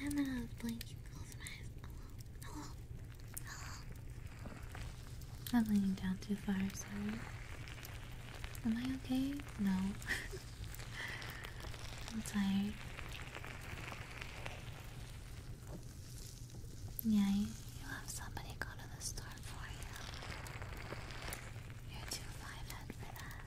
Speaker 1: I'm gonna blink and my eyes. I'm leaning down too far, sorry. Am I okay? No. I'm tired. Yeah, you, have somebody go to the store for you. You're too five for that.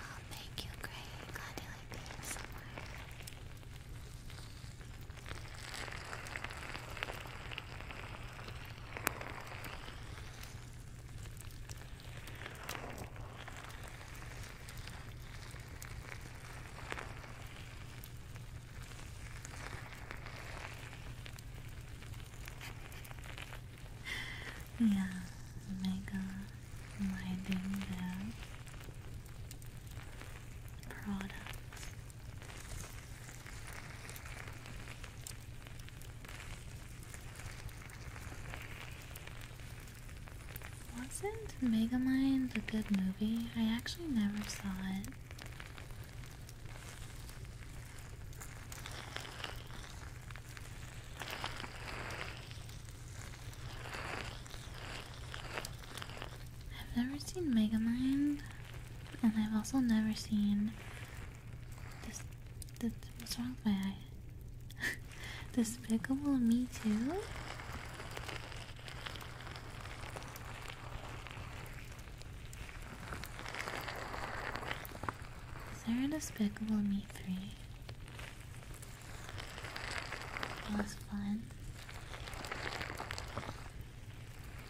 Speaker 1: Oh, thank you, Gray. Glad you like being somewhere. Thank yeah, mega lighting their products. Wasn't Megamind a good movie? I actually never saw it. I've never seen Megamind, and I've also never seen this. what's wrong with my eye? Despicable Me Too. Is there a Despicable Me 3? It was fun.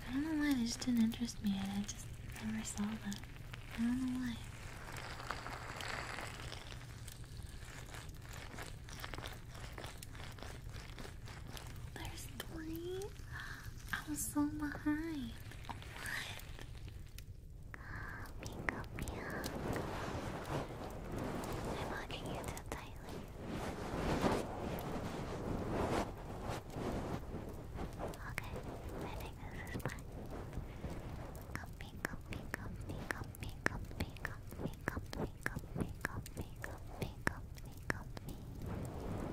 Speaker 1: I don't know why, they just didn't interest me I just never saw them. I don't know why. There's three? I was so behind. What? Calming up I'm hugging you too tightly. Okay, I think this is fine. Comfy, comfy, comfy, comfy, comfy, comfy, comfy, comfy, comfy, comfy, comfy, comfy, comfy.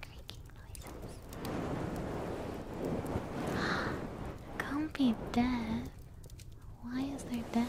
Speaker 1: creaking Can't be dead. Why is there death?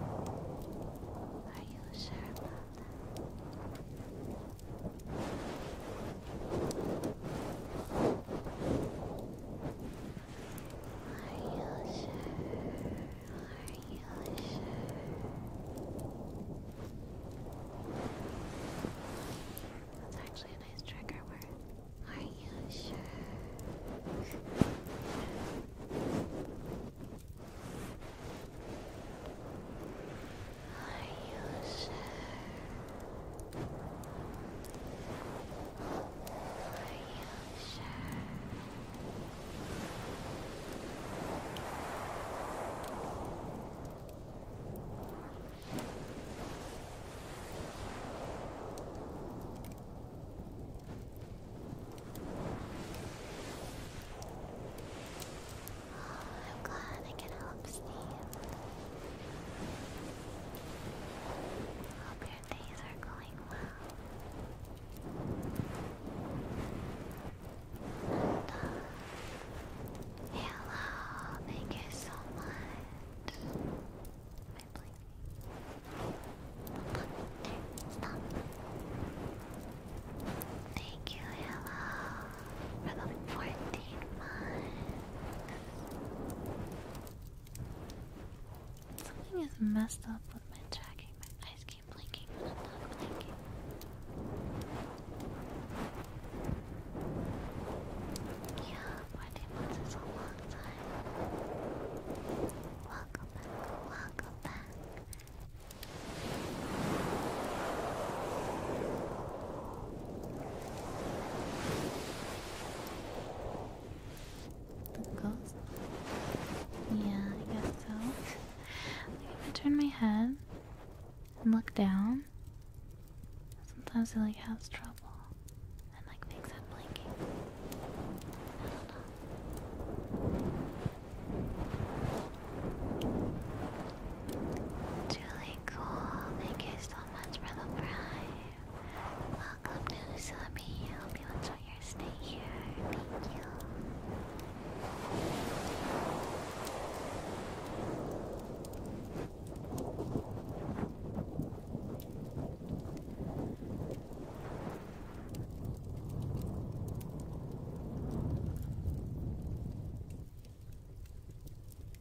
Speaker 1: Are you sure about that? Are you sure? Are you sure? That's actually a nice trigger word. Are you sure? Are you sure? Are you sure? Are I'm glad I can help, Steve. Hope your days are going well. hello, thank you so much. Thank you, Hello, for 14 months. Something is messed up with my tracking. My eyes keep blinking. Yeah, 14 months is a long time. Welcome welcome back, The ghost? Yeah, I guess so. if I turn my head and look down, sometimes it like has trouble. Julie Cool, thank you so much for the prime. Welcome to Usami. I you enjoy your here. Thank you.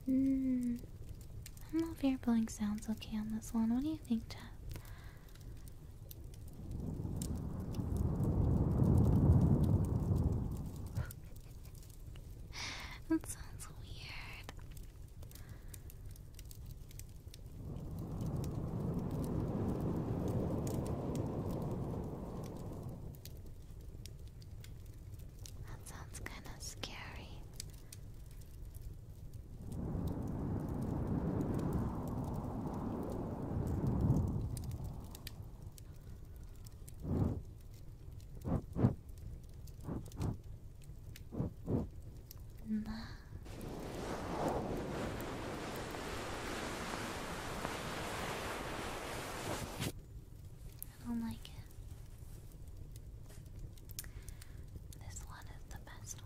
Speaker 1: Hmm. I don't know if air blowing sounds okay on this one. What do you think, Jeff?
Speaker 2: that sounds weird.
Speaker 1: That sounds kind of scary. I don't like it. This one is the best one.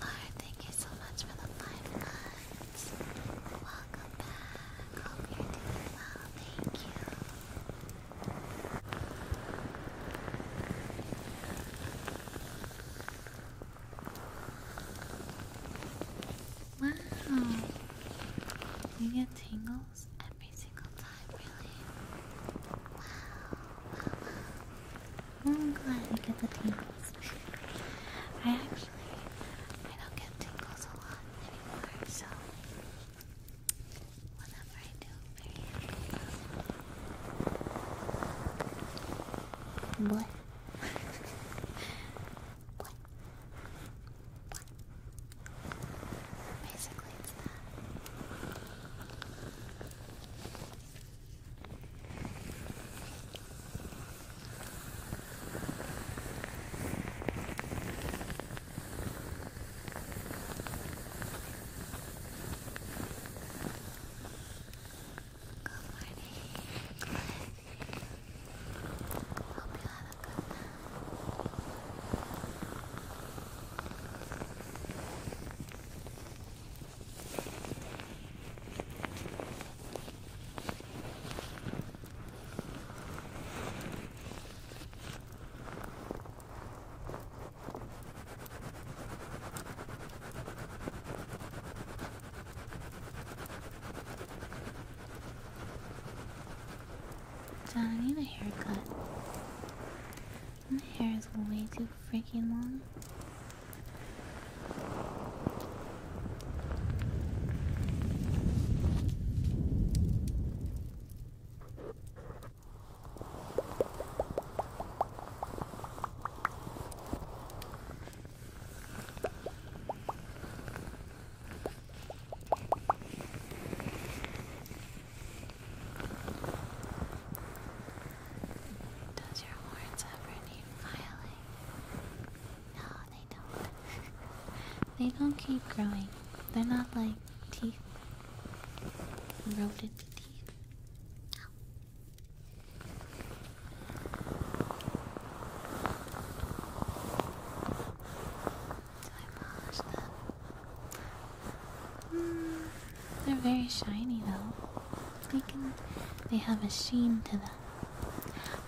Speaker 1: Lord, thank you so much for the five Welcome back. Thank you. Wow. You get tingles Wow, I'm glad you get the tingles. I actually, I don't get tingles a lot anymore, so whenever I do, what? What? Basically, it's that. Good morning, Hope you have a good night. I need a haircut. My hair is way too freaking long. Does your horns ever need filing? No, they don't. they don't keep growing. They're not like teeth. Rodent teeth. So I polish they're very shiny though. They can, they have a sheen to them.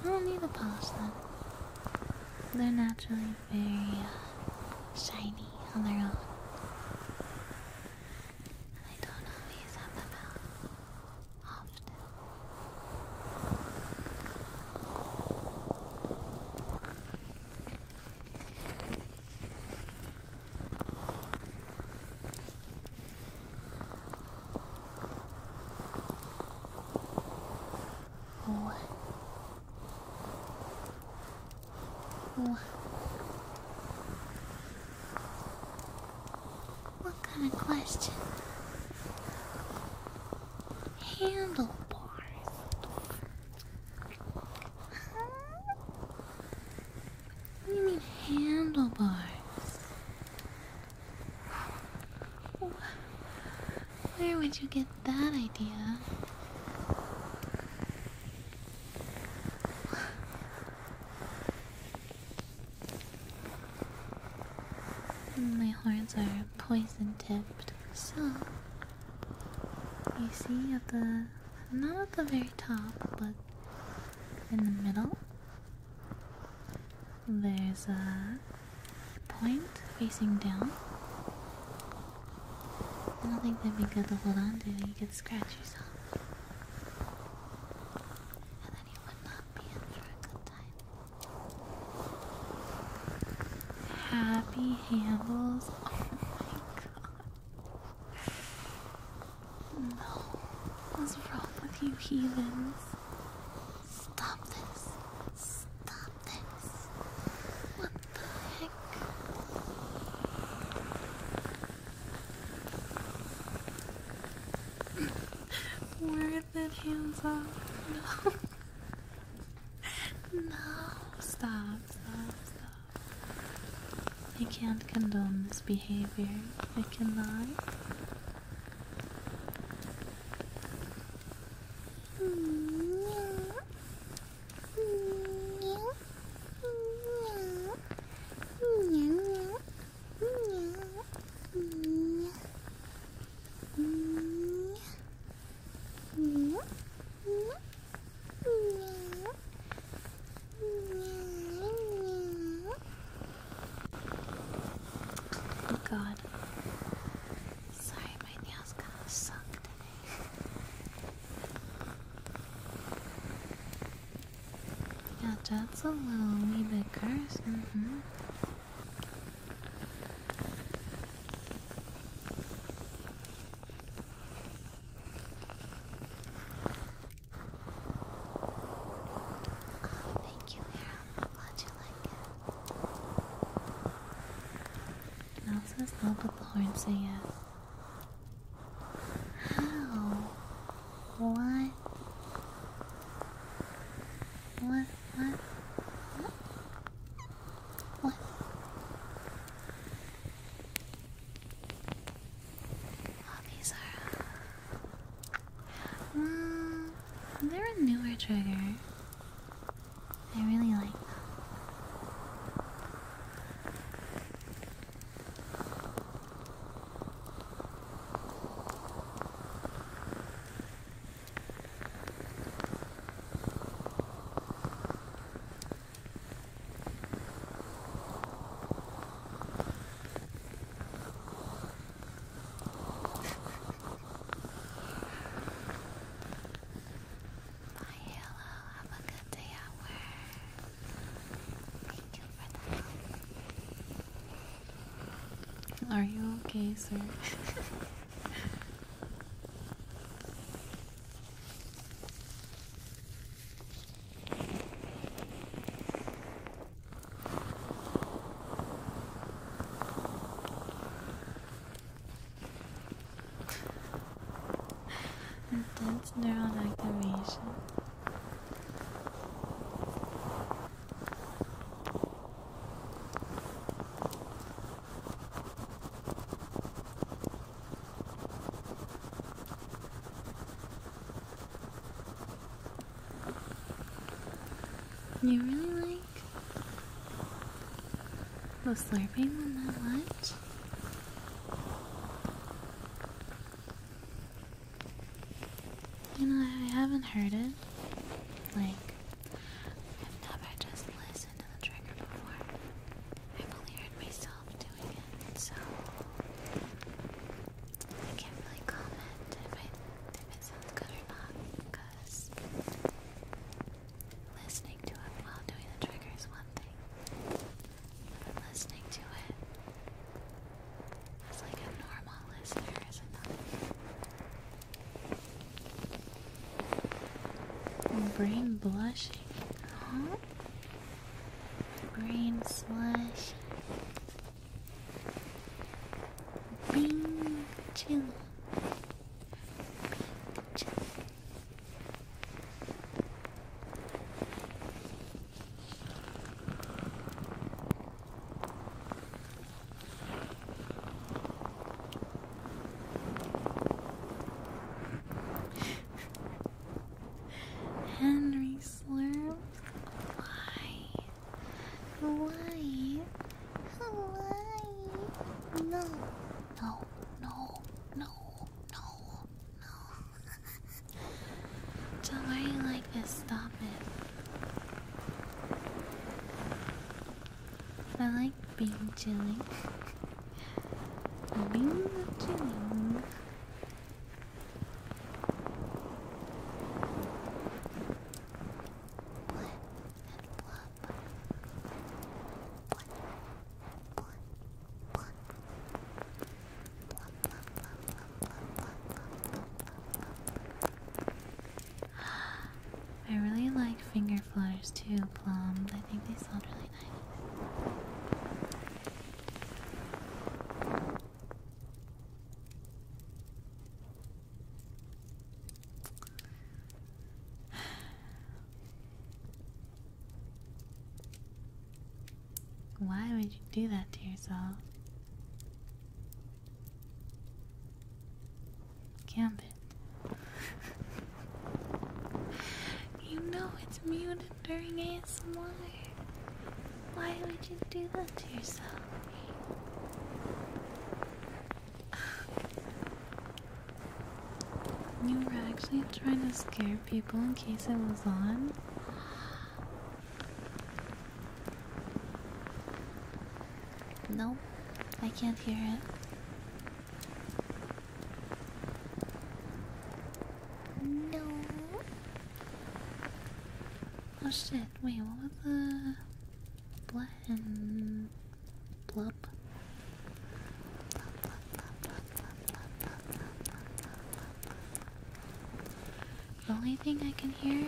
Speaker 1: I don't need to polish them. They're naturally very uh, shiny on their own. I don't always have them out often.
Speaker 2: Mwah. Mwah. What kind of question? Handlebars.
Speaker 1: What do you mean handlebars? Where would you get that idea? My horns are poison tipped, so you see at the not at the very top, but in the middle, there's a point facing down. I don't think that'd be good to hold on to, you could scratch yourself. Happy handles. Oh my god. No. What's wrong with you heathens? Stop this. Stop this. What the heck? Where the hands up? No. no. Stop, stop, stop. I can't condone this behavior. I cannot.
Speaker 2: Oh
Speaker 1: god. Sorry, my nails kind of suck yeah, that's a little wee bit cursed. Mm-hmm thank you, Mira. glad you like it. Elsa's love with the horn singer. How? What? What? What? What? Oh, these are. Uh, mm, they're a newer trigger. I really like hello, have a good day at work. Are you okay, sir? Intense neural activation. You really like the slurping one that much? You know, I haven't heard it. Like, I've never just listened to the trigger before. I've only heard myself do so I can't really comment if, it sounds good or not because listening to it while doing the trigger one thing, but listening to it as like a normal listener is another. Brain blushing. Huh? Brain slush. Bing chill. Bing chill. Henry Slurp. Why? Why? Why? No. No. No. No. No. No. Don't worry like this. Stop it. I like being chilling. being chilling. I really like finger flowers too, Plum. I think they sound really nice. Why would you do that to yourself? Gambit. you know it's muted during ASMR. Why would you do that to yourself? You were actually trying to scare people in case it was on? Nope, I can't hear it. No. Oh shit, wait, what was the blood and The only thing I can hear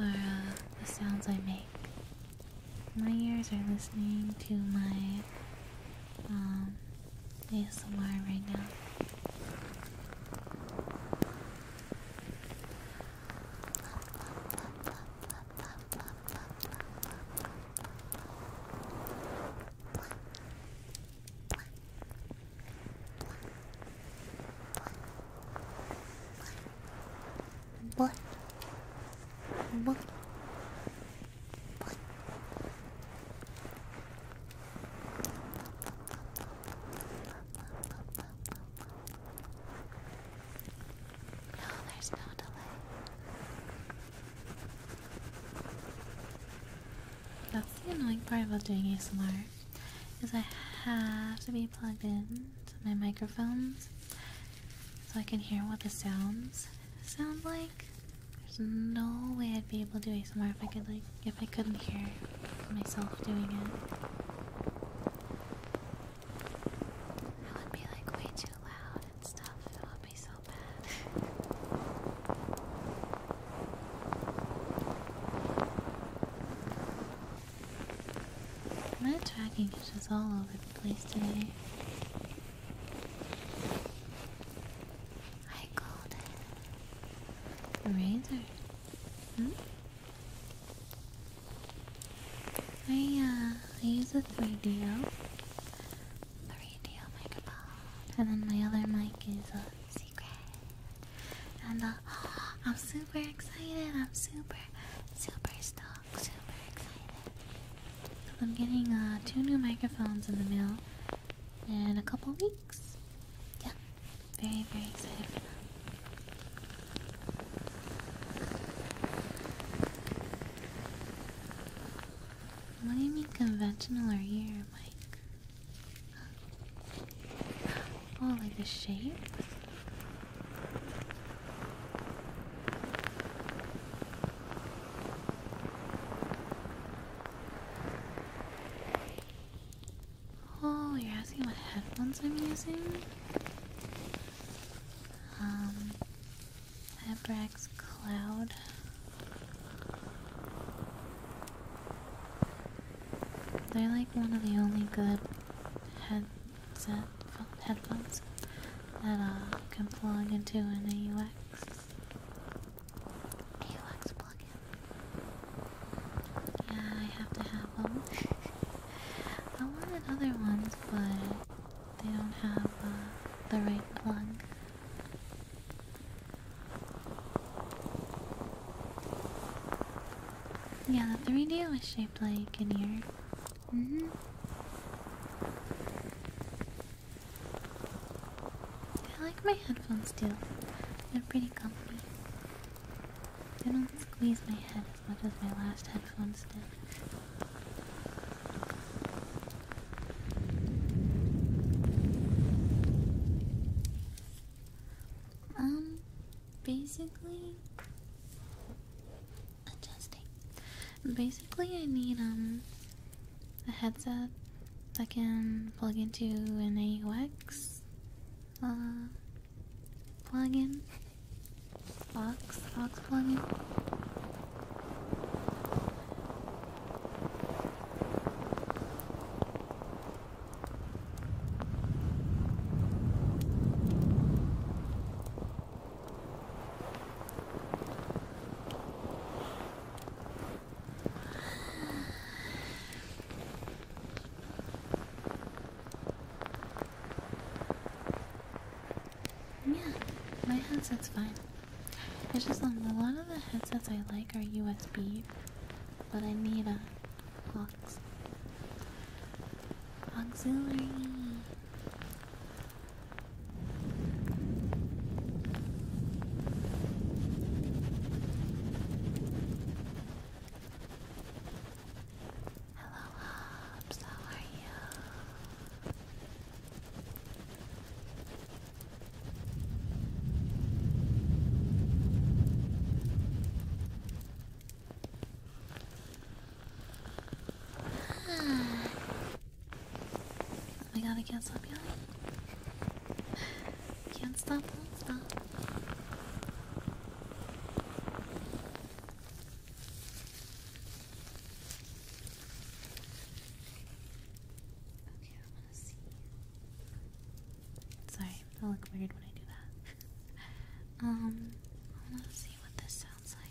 Speaker 1: are uh, the sounds I make. My ears are listening to my um, ASMR right now. What? What? What? No, there's no delay. That's the annoying part about doing ASMR, is I have to be plugged in to my microphones so I can hear what the sounds sound like. There's no way I'd be able to do ASMR if I could like if I couldn't hear myself doing it. That would be like way too loud and stuff. It would be so bad. My tracking is just all over the place today. I called razor. Hmm? I uh I use a 3DO. 3 microphone. And then my other mic is a secret. And uh I'm super excited. I'm super super stoked. Super excited. I'm getting uh two new microphones in the mail in a couple weeks. Yeah, very, very excited for that. What do you mean conventional or ear, Mike? Oh, like the shape? Oh, you're asking what headphones I'm using? Um, Abrax Cloud. They're like one of the only good headset headphones that I uh, can plug into an AUX. AUX plugin. Yeah, I have to have them. I wanted other ones, but they don't have uh, the right plug. Yeah, the 3D was shaped like an ear. Mm-hmm. I like my headphones too. They're pretty comfy. They don't squeeze my head as much as my last headphones did. Um, basically, adjusting. Basically, I need um a headset I can plug into an AUX uh, plug-in box, box plugin. Yeah, my headset's fine. It's just um, a lot of the headsets I like are USB, but I need a aux auxiliary. Hello, Hobbs. How are you? Ah. We gotta get some yelling. Can't stop, will stop. Okay, I want to see. Sorry, I look weird when I do that. um, I want to see what this sounds like.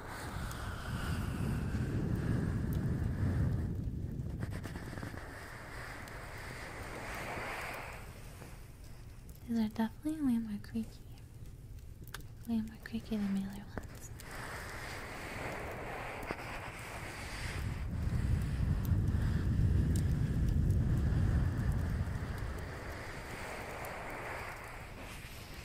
Speaker 1: These are definitely way more creaky. Way more creaky than my other ones.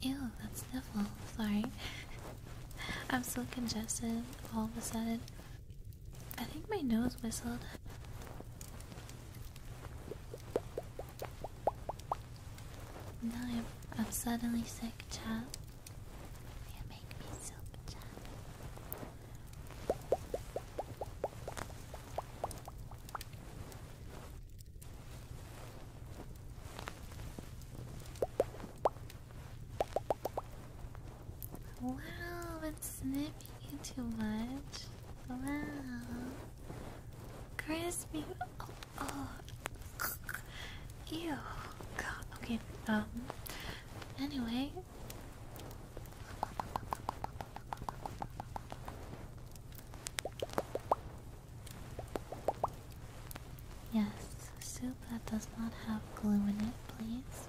Speaker 1: Ew, that's sniffle. Sorry. I'm so congested all of a sudden. I think my nose whistled. No, I'm, suddenly sick, chat. You make me sick, chat. Wow, it's you too much. Wow. Crispy, oh, ew, God. Okay. Um. Anyway. Yes, soup that does not have glue in it, please.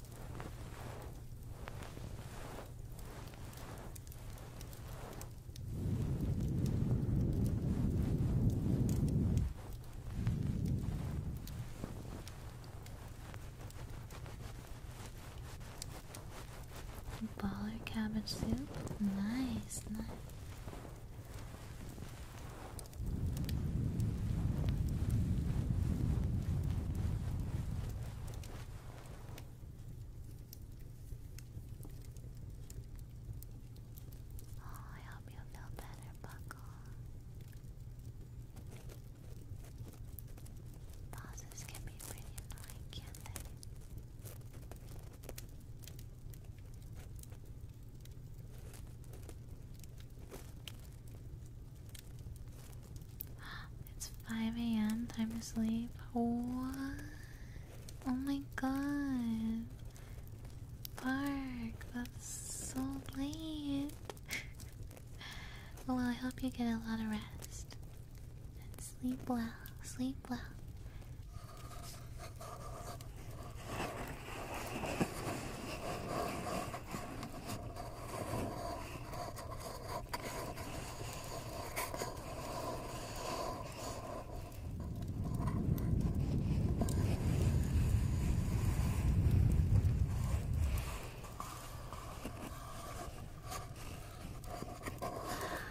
Speaker 1: Baller cabbage soup, nice, nice. Oh, I hope you feel better, Buckle. Pauses can be pretty annoying, can they? It's 5 a.m. time to sleep. Oh my god. Bark, that's so late. well, I hope you get a lot of rest. And sleep well, sleep well. Oh,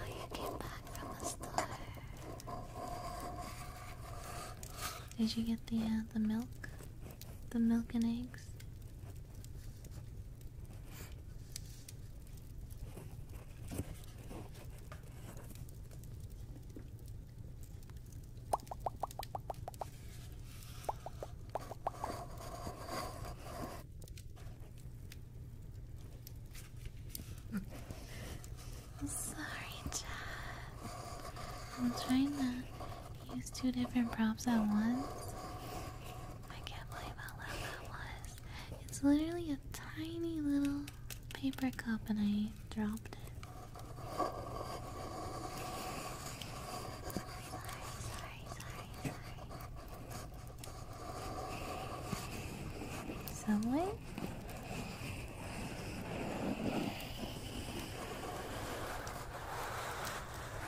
Speaker 1: you came back from the store. Did you get the uh, the milk, the milk and eggs? Sorry, Chad. i am trying not Use two different props at once. I can't believe how loud that was. It's literally a tiny little paper cup and I dropped it. Sorry, sorry, sorry, sorry. Someone?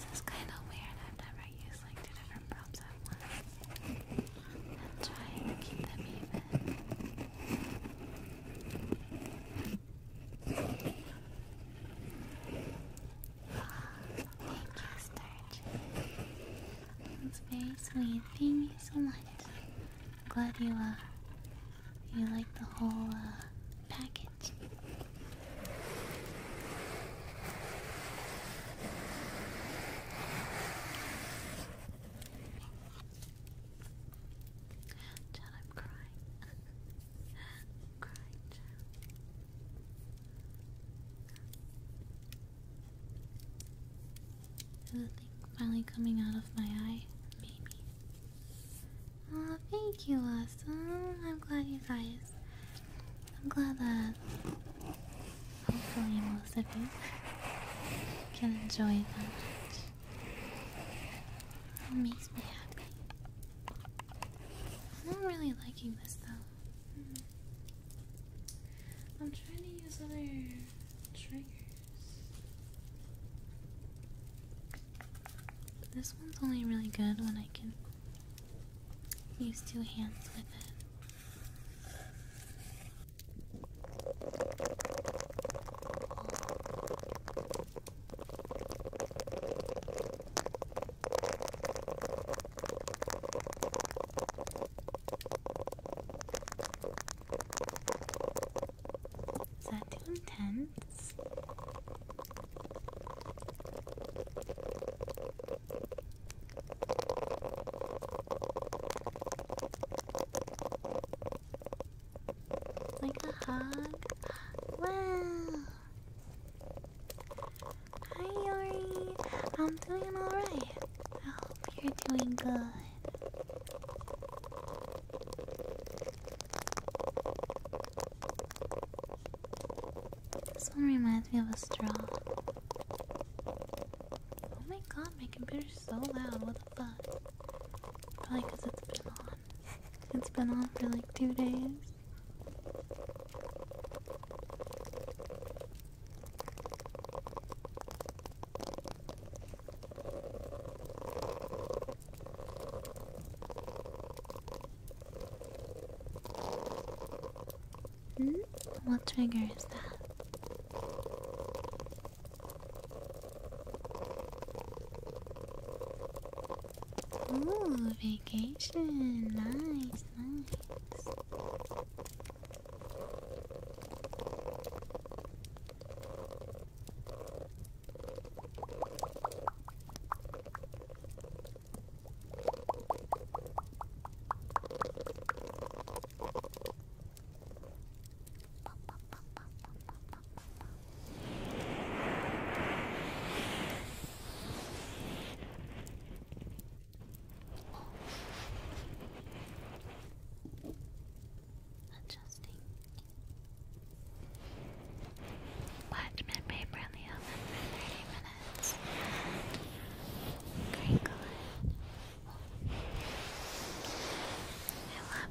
Speaker 2: This is kind of weird. I've never used like two different props at once. I'm trying to keep them even. thank you,
Speaker 1: Starch. That's very sweet. Thank you so much. glad you uh you like the whole uh package crying. crying, Is the thing finally coming out of my eye? Maybe. oh, thank you, Awesome. I'm glad you guys. I'm glad that Hopefully, most of you can enjoy that. It makes me happy. I'm not really liking this though. I'm trying to use other triggers. This one's only really good when I can use two hands with it. Is that too intense? Like a hug? Wow! Hi Yori! I'm doing alright. I hope you're doing good. This one reminds me of a straw. Oh my god, my computer's so loud but probably because it's been on. It's been on for like two days. Hmm? What trigger is that? Oh, vacation. Nice, nice. Adjusting parchment paper in the oven for 30 minutes. Crinkle it. I'll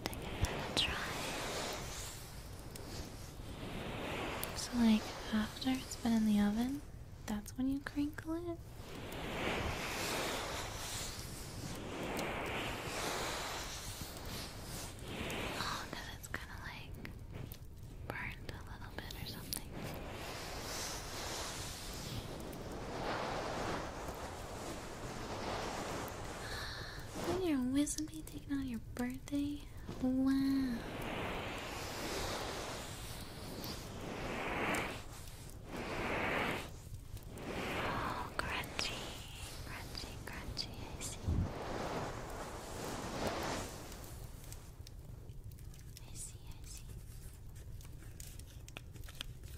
Speaker 1: to give that a So like after it's been in the oven, that's when you crinkle it. Oh, it's kind of like burned a little bit or something. Oh, you're with me taking on your birthday? Wow. Oh, crunchy, crunchy, crunchy, I see, I see.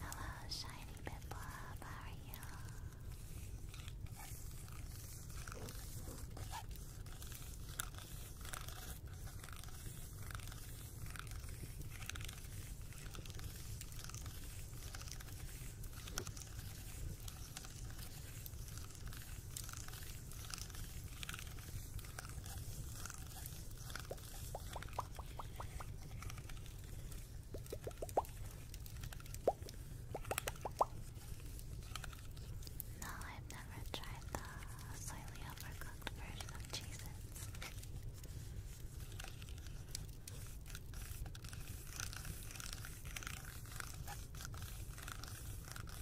Speaker 1: Hello, shiny Pippa, how are you? No, I've never tried the slightly overcooked version of cheeses.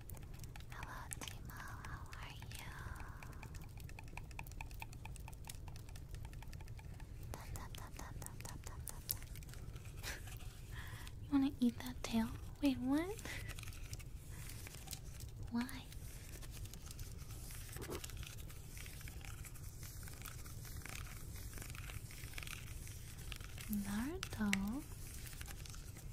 Speaker 1: Hello, Timo. How are you? you wanna eat that tail? Wait, what? Why? Naruto.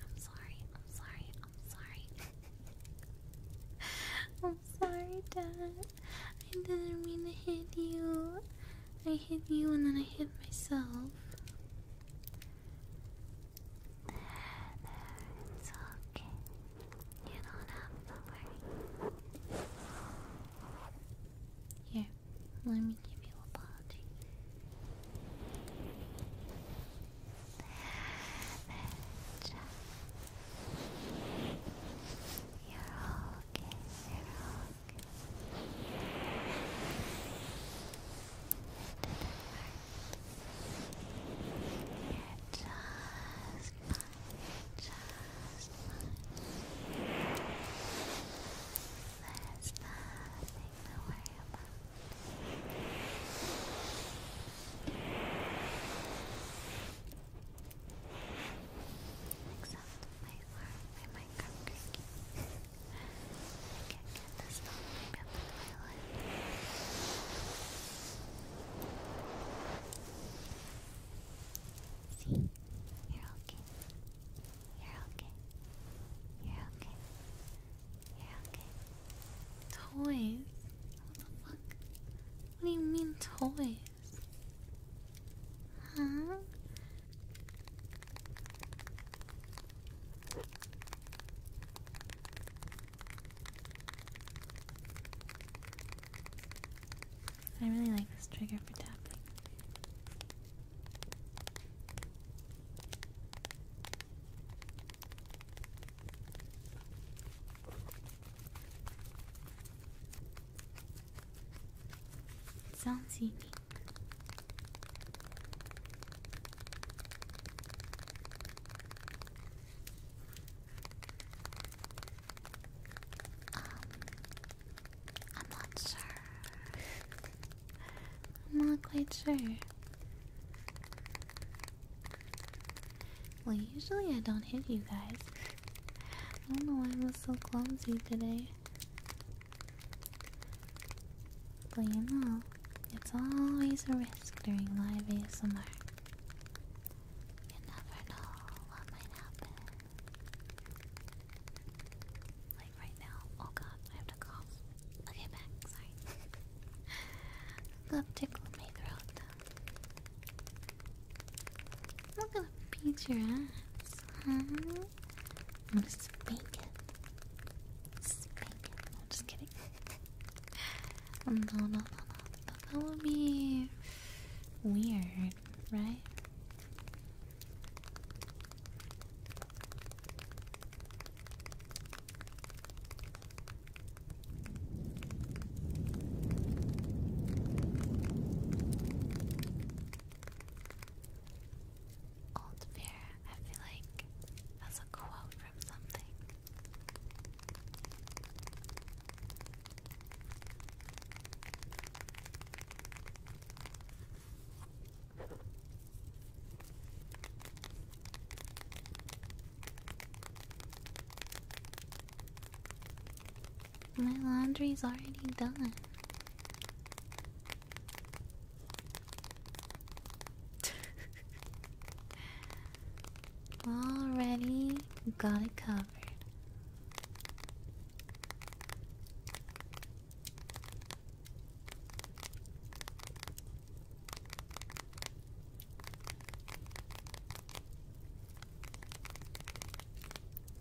Speaker 1: I'm sorry, I'm sorry, I'm sorry. I'm sorry, Dad. I didn't mean to hit you. I hit you and then I hit myself. It's okay. You don't have to worry. Here, let me give you a body. There, You're okay, you're okay. It didn't hurt. you just just fine. There's nothing to worry about. Except my arm, my microphone cranky. I can't get this all up in my life. See, you're okay. You're okay. You're okay. You're okay. Toys? What the fuck? What do you mean toys? Huh? I really like this trigger for tapping. It sounds unique. Um, I'm not sure. I'm not quite sure. Well, usually I don't hit you guys. I don't know why I was so clumsy today. But you know, it's always a risk during live ASMR. You never know what might happen. Like right now. Oh god, I have to cough. Okay, back. Sorry. Love tickled my throat. Look at beat your ass, huh? I'm spank it. Spank it. I'm just kidding. no, no, no, no. That would be weird right? Old bear, I feel like that's a quote from something. My laundry's already done. already got it covered.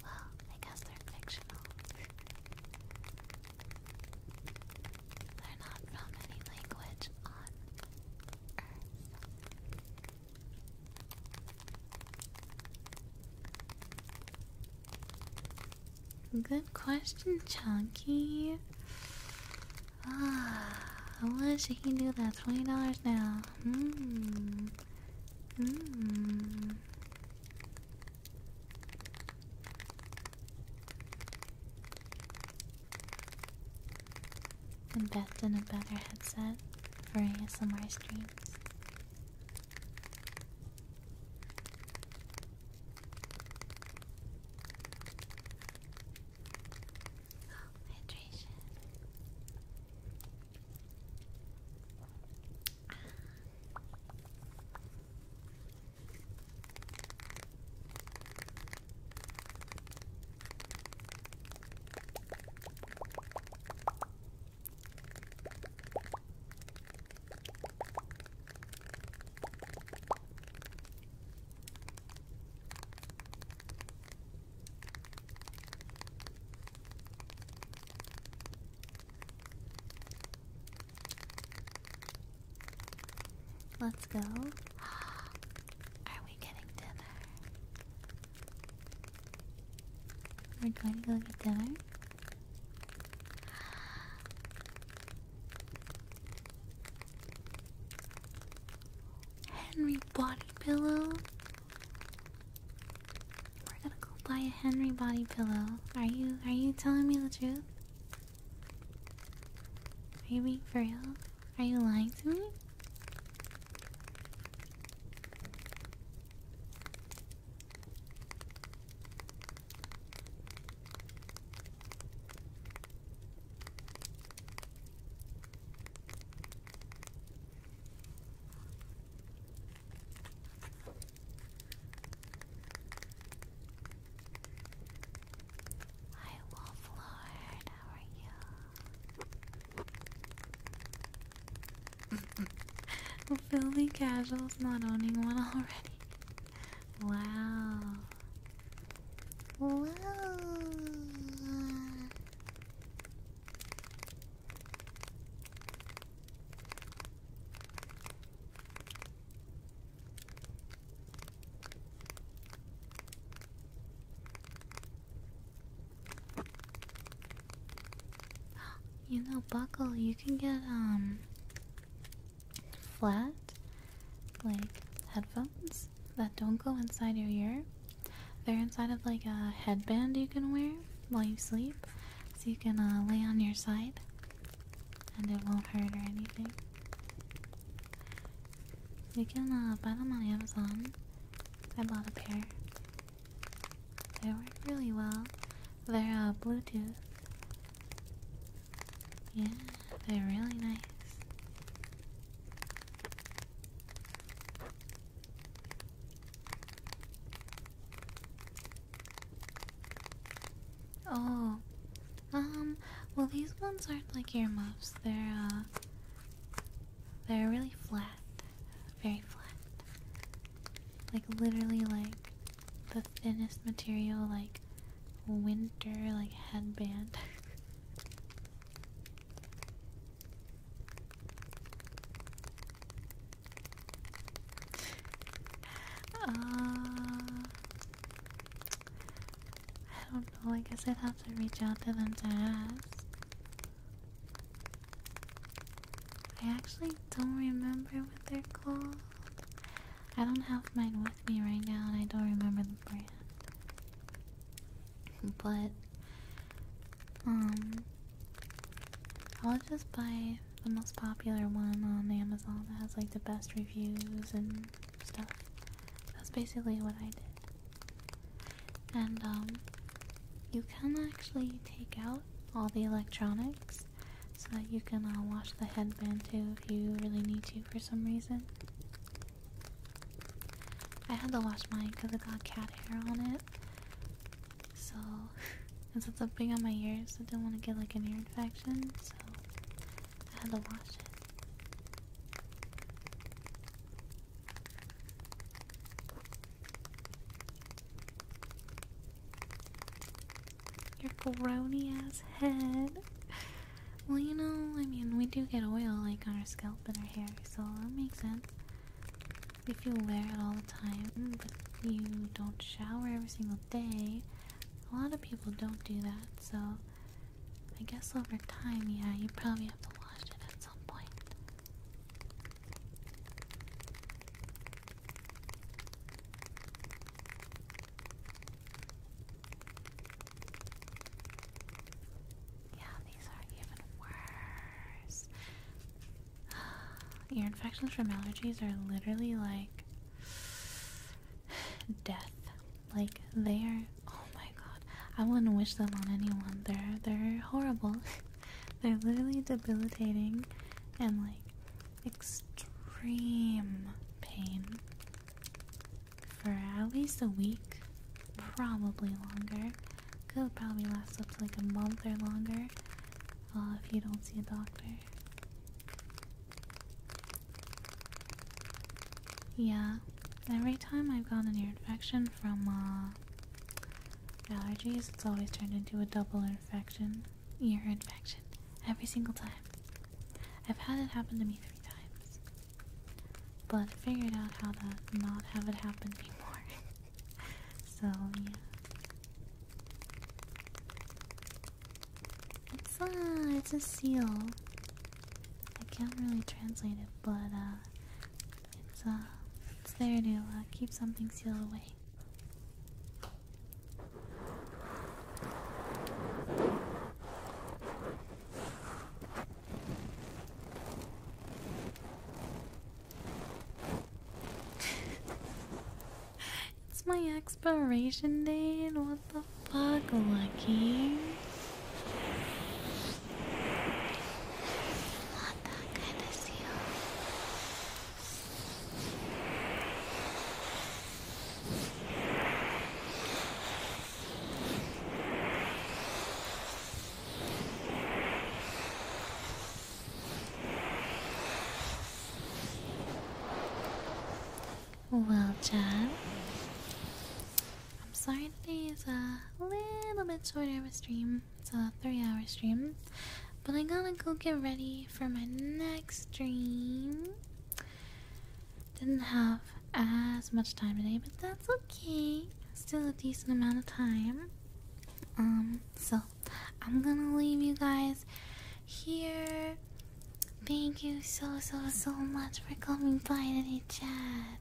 Speaker 1: Well, I guess they're fictional. they're not from any language on Earth. Good question, Chunky. Ah, I wish he can do that. Twenty dollars now. Hmm. Hmm. Invest in a better headset for ASMR streams. Oh, hydration. Ah. Let's go. Are we getting dinner? We're going to go get dinner. Henry body pillow. We're gonna go buy a Henry body pillow. Are you are you telling me the truth? Are you being real? Are you lying to me? Hi Wolf Lord, how you? Filthy casuals not owning one already. Wow. Wow. You know, buckle, you can get, um, flat, like, headphones that don't go inside your ear. They're inside of, like, a headband you can wear while you sleep. So you can, uh, lay on your side and it won't hurt or anything. You can, uh, buy them on Amazon. I bought a pair. They work really well. They're uh, Bluetooth. Yeah, they're really nice. Oh, um, well these ones aren't like earmuffs. They're, uh, they're really flat very flat. Like literally like the thinnest material like winter like headband. uh, I don't know, I guess I'd have to reach out to them to ask. I actually don't remember what they're called. I don't have mine with me right now and I don't remember the brand. But, um, I'll just buy the most popular one on Amazon that has like the best reviews and stuff. That's basically what I did. And, um, you can actually take out all the electronics so that you can uh, wash the headband too if you really need to for some reason. I had to wash mine because it got cat hair on it. So, since it's up big on my ears, I didn't want to get like an ear infection, so I had to wash it. Your grony ass head. Well, you know, I mean, we do get oil like on our scalp and our hair, so that makes sense. If you wear it all the time, but you don't shower every single day, a lot of people don't do that, so I guess over time, yeah, you probably have to wash it at some point. Yeah, these are even worse. Ear infections from allergies are literally like death. Like they are. Oh my god, I wouldn't wish them on anyone. They're they're horrible. They're literally debilitating and like extreme pain for at least a week, probably longer. Could probably last up to like a month or longer uh, if you don't see a doctor. Yeah, every time I've gotten an ear infection from uh, Allergies, it's always turned into a double infection, ear infection, every single time. I've had it happen to me three times, but figured out how to not have it happen anymore. so, yeah. It's a, uh, it's a seal. I can't really translate it, but uh, it's uh, it's there to uh, keep something sealed away it's my expiration date. What the fuck, Lucky? What the goodness, you? Well, John, I'm sorry today is a little bit shorter of a stream. It's a three hour stream. But I gotta go get ready for my next stream. Didn't have as much time today, but that's okay. Still a decent amount of time. Um, so I'm gonna leave you guys here. Thank you so so so much for coming by today, chat.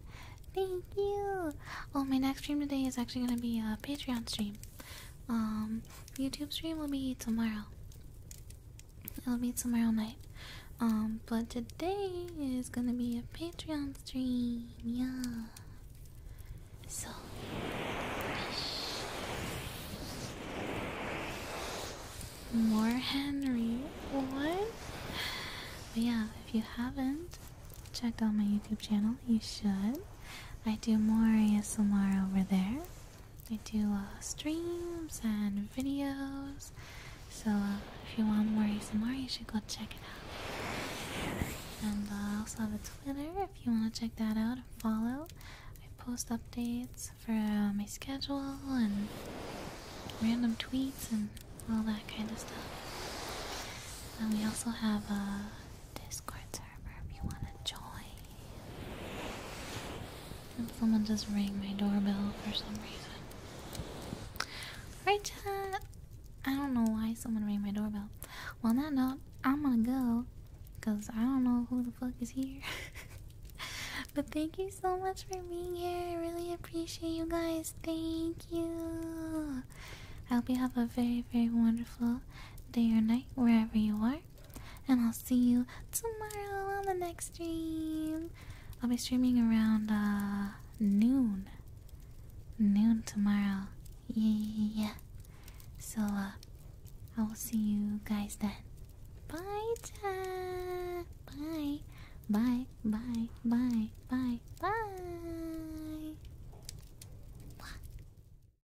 Speaker 1: Thank you. Oh, my next stream today is actually gonna be a Patreon stream. Um, YouTube stream will be tomorrow. It'll be tomorrow night. Um, but today is gonna be a Patreon stream. Yeah. So. More Henry. What? But yeah, if you haven't checked out my YouTube channel, you should. I do more ASMR over there. I do uh, streams and videos. So uh, if you want more ASMR, you should go check it out. And uh, I also have a Twitter if you want to check that out and follow. I post updates for my schedule and random tweets and all that kind of stuff. And we also have a Discord server if you want to join someone just rang my doorbell for some reason. Right, chat. I don't know why someone rang my doorbell. Well, on that I don't know who the fuck is here. but thank you so much for being here. I really appreciate you guys. Thank you. I hope you have a very, very wonderful day or night wherever you are. And I'll see you tomorrow on the next stream. I'll be streaming around uh, noon. Noon tomorrow. Yeah. So uh, I will see you guys then. Bye, Bye. Bye. Bye. Bye. Bye. Bye.